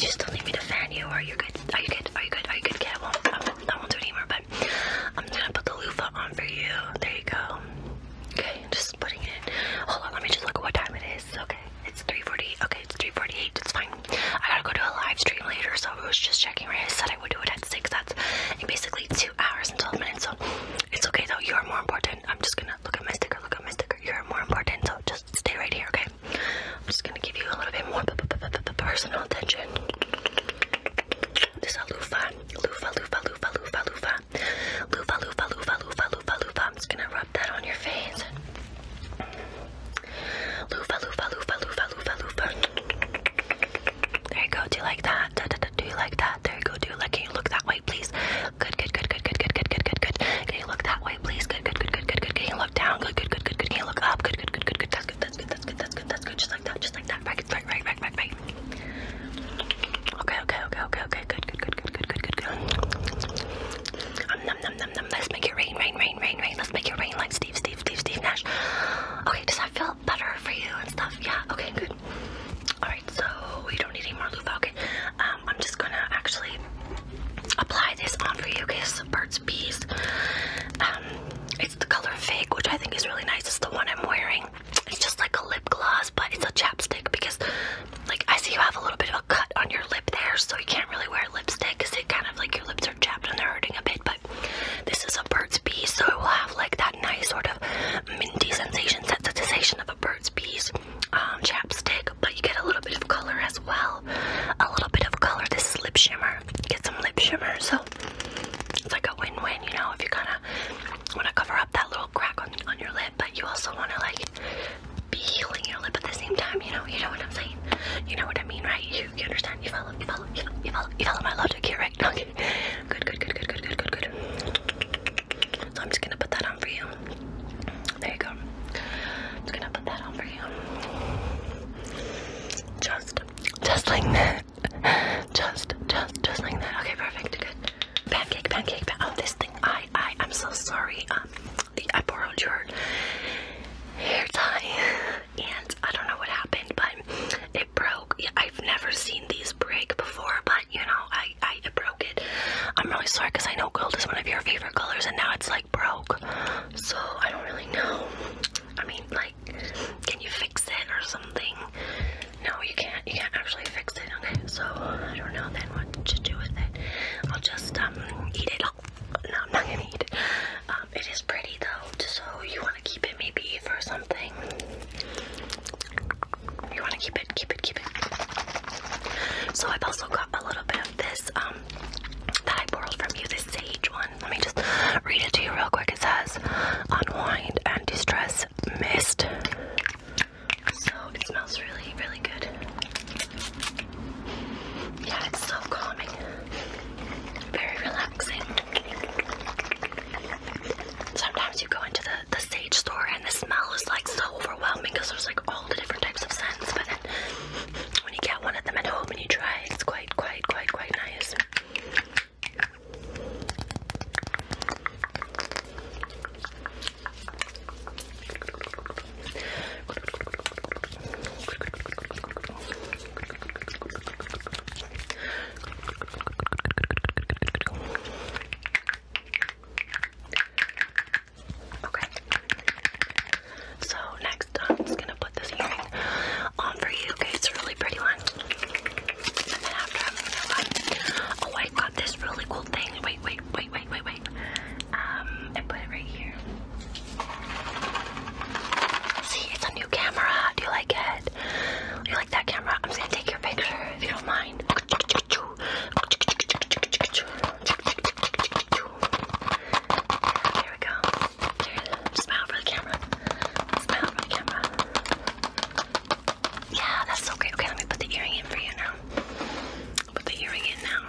you still need me to fan you? are you good? Are you good? Are you good? Are you good? Okay, I not I anymore, but I'm just gonna put the loofah on for you. There you go. Okay, just putting it. Hold on, let me just look at what time it is. Okay, it's 3:40. Okay, it's 3:48. It's fine. I gotta go to a live stream later, so I was just checking. Right, I said I would do it at six. That's basically two hours and 12 minutes. So it's okay though. You are more important. I'm just gonna look at my sticker. Look at my sticker. You are more important. So just stay right here, okay? I'm just gonna give you a little bit more personal attention. This is a loofah. Loofah, loofah, loofah, loofah, loofah. Loofah, loofah, loofah, loofah, loofah, loofah. I'm just gonna rub that on your face. Loofah, loofah, loofah, loofah, loofah, loofah. There you go. Do you like that? Do you like that? There you go. Do you like? Can you look that way, please? Good, good, good, good, good, good, good, good, good, good, can you look that way, please? Good, good, good, good, good, good. Can you look down? Good, good, good, good, good. Can you look up? Good, good, good, good, good. That's good, that's good, that's good, that's good, that's good. Just like that, just like that. Right, right, right, right, right, right. Okay, okay, okay, okay, okay. Good, good, good, good, good, good, good, good. Um, num, num, num, num. Let's make it rain, rain, rain, rain, rain. Let's make it rain like Steve, Steve, Steve, Steve Nash. Okay, does that feel better for you and stuff? Yeah, okay, good. Alright, so we don't need any more loofah. Um, I'm just gonna actually apply this on for you because Burt's Bees. Um, it's the color Fake, which I think is really nice. It's the one I'm wearing. It's just like a lip gloss, but it's a chapstick because, like, I see you have a little bit of a cut on your lip there, so you can't really wear lipstick because it kind of like your lips are chapped and they're hurting a bit. But this is a Burt's Bees, so it will have like that nice sort of minty sensation, sensation of a Burt's Bees. Um, chapstick, but you get a little bit of color as well. A little bit of color. This lip shimmer. get some lip shimmer, so it's like a win-win, you know, if you kind of want to cover up that little crack on, your lip, but you also want to, like, be healing your lip at the same time, you know, you know what I'm saying? You know what I mean, right? You, understand? You follow, you follow, you follow, you follow, you follow my logic here, right? Okay. Good, good, good, good, good, good, good, good. So I'm just gonna put that on for you. There you go. I'm just gonna put that on for you. Just, just like that. Just, just, just like that. Okay, perfect. Good. Pancake, pancake, pan oh, this thing. I, I, I'm so sorry. Um, the, I borrowed your hair tie, and I don't know what happened, but it broke. Yeah, I've never seen these break before, but you know, I, I it broke it. I'm really sorry because I know gold is one of your favorite colors, and now it's like broke. So I don't really know. I mean, like, can you fix it or something? No, you can't. You can't actually fix it. Okay, so I don't know then what to do with it. I'll just um, eat it. No, I'm not gonna eat it. Um, it is pretty though, so you want to keep it maybe for something. You want to keep it, keep it, keep it. So I've also got a little bit of this um, that I borrowed from you, this sage one. Let me just read it to you real quick. It says, unwind and distress mist. So it smells really, really good. Yeah, it's so calming. Very relaxing. Sometimes you go into the, the sage store and the smell is like so overwhelming because there's like all the different types of scents, when you get one of them at home and you try it's quite, quite, quite, quite nice. Okay. So next, I'm just gonna put this earring on for you. Okay, it's a really pretty one. Oh, I got this really cool thing. Wait, wait, wait, wait, wait, wait. Um, I put it right here. See, it's a new camera. Do you like it? you like that camera? I'm gonna take your picture if you don't mind. There we go. smile for the camera. Smile for the camera. Yeah, that's so great. Okay, let me put the earring in for you now. put the earring in now.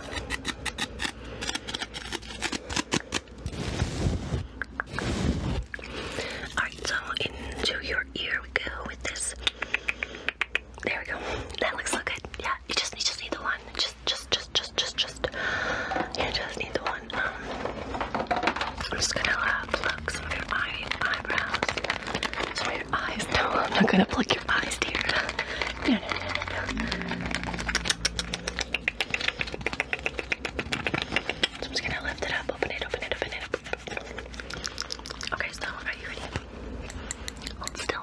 Alright, so into your ear we go with this. There we go. That looks so good. Yeah, you just, you just need the one just, just, just, just, just, You just need the one. Um, I'm just gonna pluck some of your eye, eyebrows. Some of your eyes. No, I'm not gonna pluck your eyes, dear. I'm just gonna lift it up, open it, open it, open it. Okay, so are you ready? Hold still.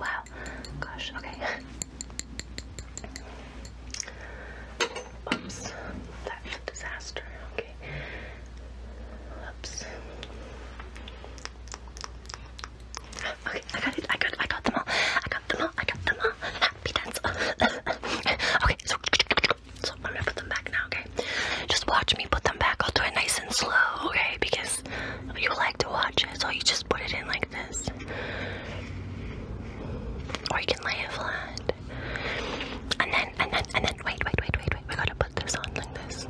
Wow. Gosh, okay. Oops. That's a disaster. Okay. Oops. Okay, I got it. I got I got them all. I got them all. I got them all. Happy dance. okay, so, so i put them back now, okay? Just watch me put them back. I'll do it nice and slow, okay? Because you like to watch it. So you just put it in like this. Or you can lay it flat. And then, and then, and then, wait, wait, wait, wait, wait. We gotta put this on like this.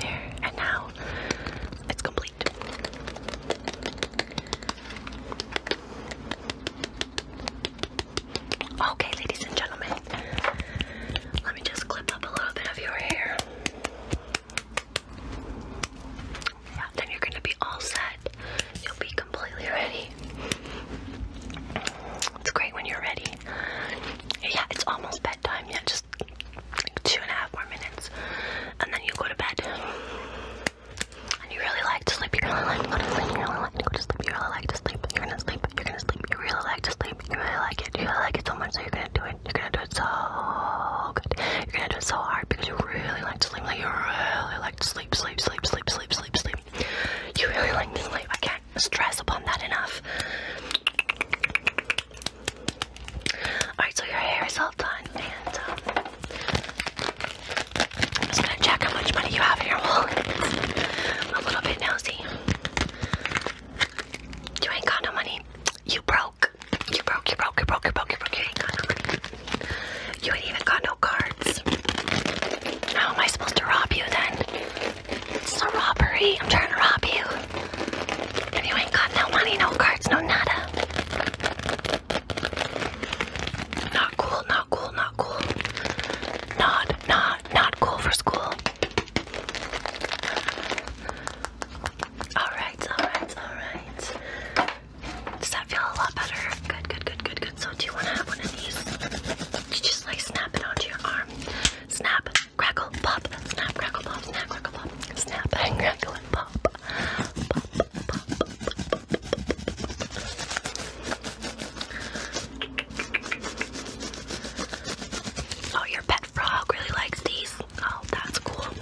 There, and now it's complete. Okay, ladies and gentlemen, let me just clip up a little bit of your hair. Yeah, then you're gonna be all set. You'll be completely ready. It's great when you're ready. Yeah, it's almost bedtime. Yeah, just two and a half more minutes. And then you go to bed. And you really like to sleep. You really like to go to sleep. You really like to go to sleep. You really like to sleep. You're gonna sleep. You're gonna sleep. You really like to sleep. You're gonna like it. You're gonna like it so much that you're gonna do it. You're gonna do it so good. You're gonna do it so hard because you really like to sleep. Like you really like to sleep, sleep, sleep, sleep, sleep, sleep, sleep. You really like to sleep. I can't stress upon that enough. Alright, so your hair is all done, and um, I'm just gonna check how much money you have in your wallet. I'm a little bit nosy. You ain't got no money. You broke. You broke, you broke, you broke, you broke, you broke. You ain't got no money. You ain't even got no cards. How am I supposed to rob you then? It's a robbery. I'm trying to rob you. If you ain't got no money, no cards, no nada. Not cool, not cool, not cool. Not, not, not cool for school. Alright, alright, alright. Does that feel a lot better? Good, good, good, good, good. So do you want to have one of these? You just like snap it onto your arm. Snap, crackle, pop, snap, crackle, pop, snap, crackle, pop, snap, crackle and pop. Oh, your pet frog really likes these. Oh, that's cool.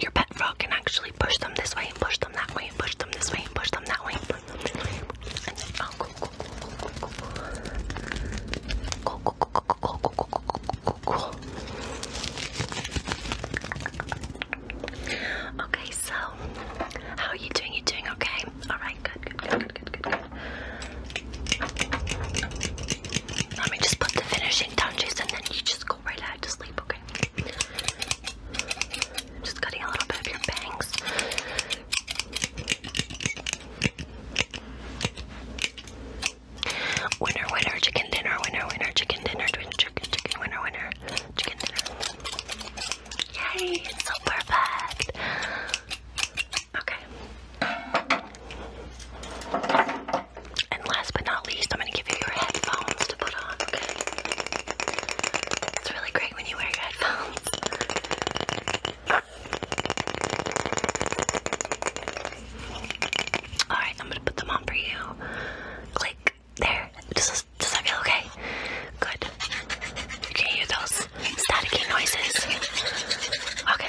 Your pet frog can actually push them this way, and push them that way, and push them this way, and push them that way. And then, oh, cool, cool, cool, cool, cool, cool, cool, cool, cool, cool, cool, cool, cool, cool. Okay, so how are you doing? You doing okay? All right, good, good, good, good, good, good. good. Let me just put the finishing touches and then you just go right ahead to sleep, okay? Just cutting a little bit of your bangs. Winner, winner, chicken dinner, winner, winner, chicken dinner, winner, winner, chicken dinner. Yay, it's so perfect. Okay. And last but not least, I'm going to give you your headphones to put on, It's really great when you wear your headphones. Alright, I'm going to put them on for you. Click. There. Does, does that feel okay? Good. You those staticky noises. Okay,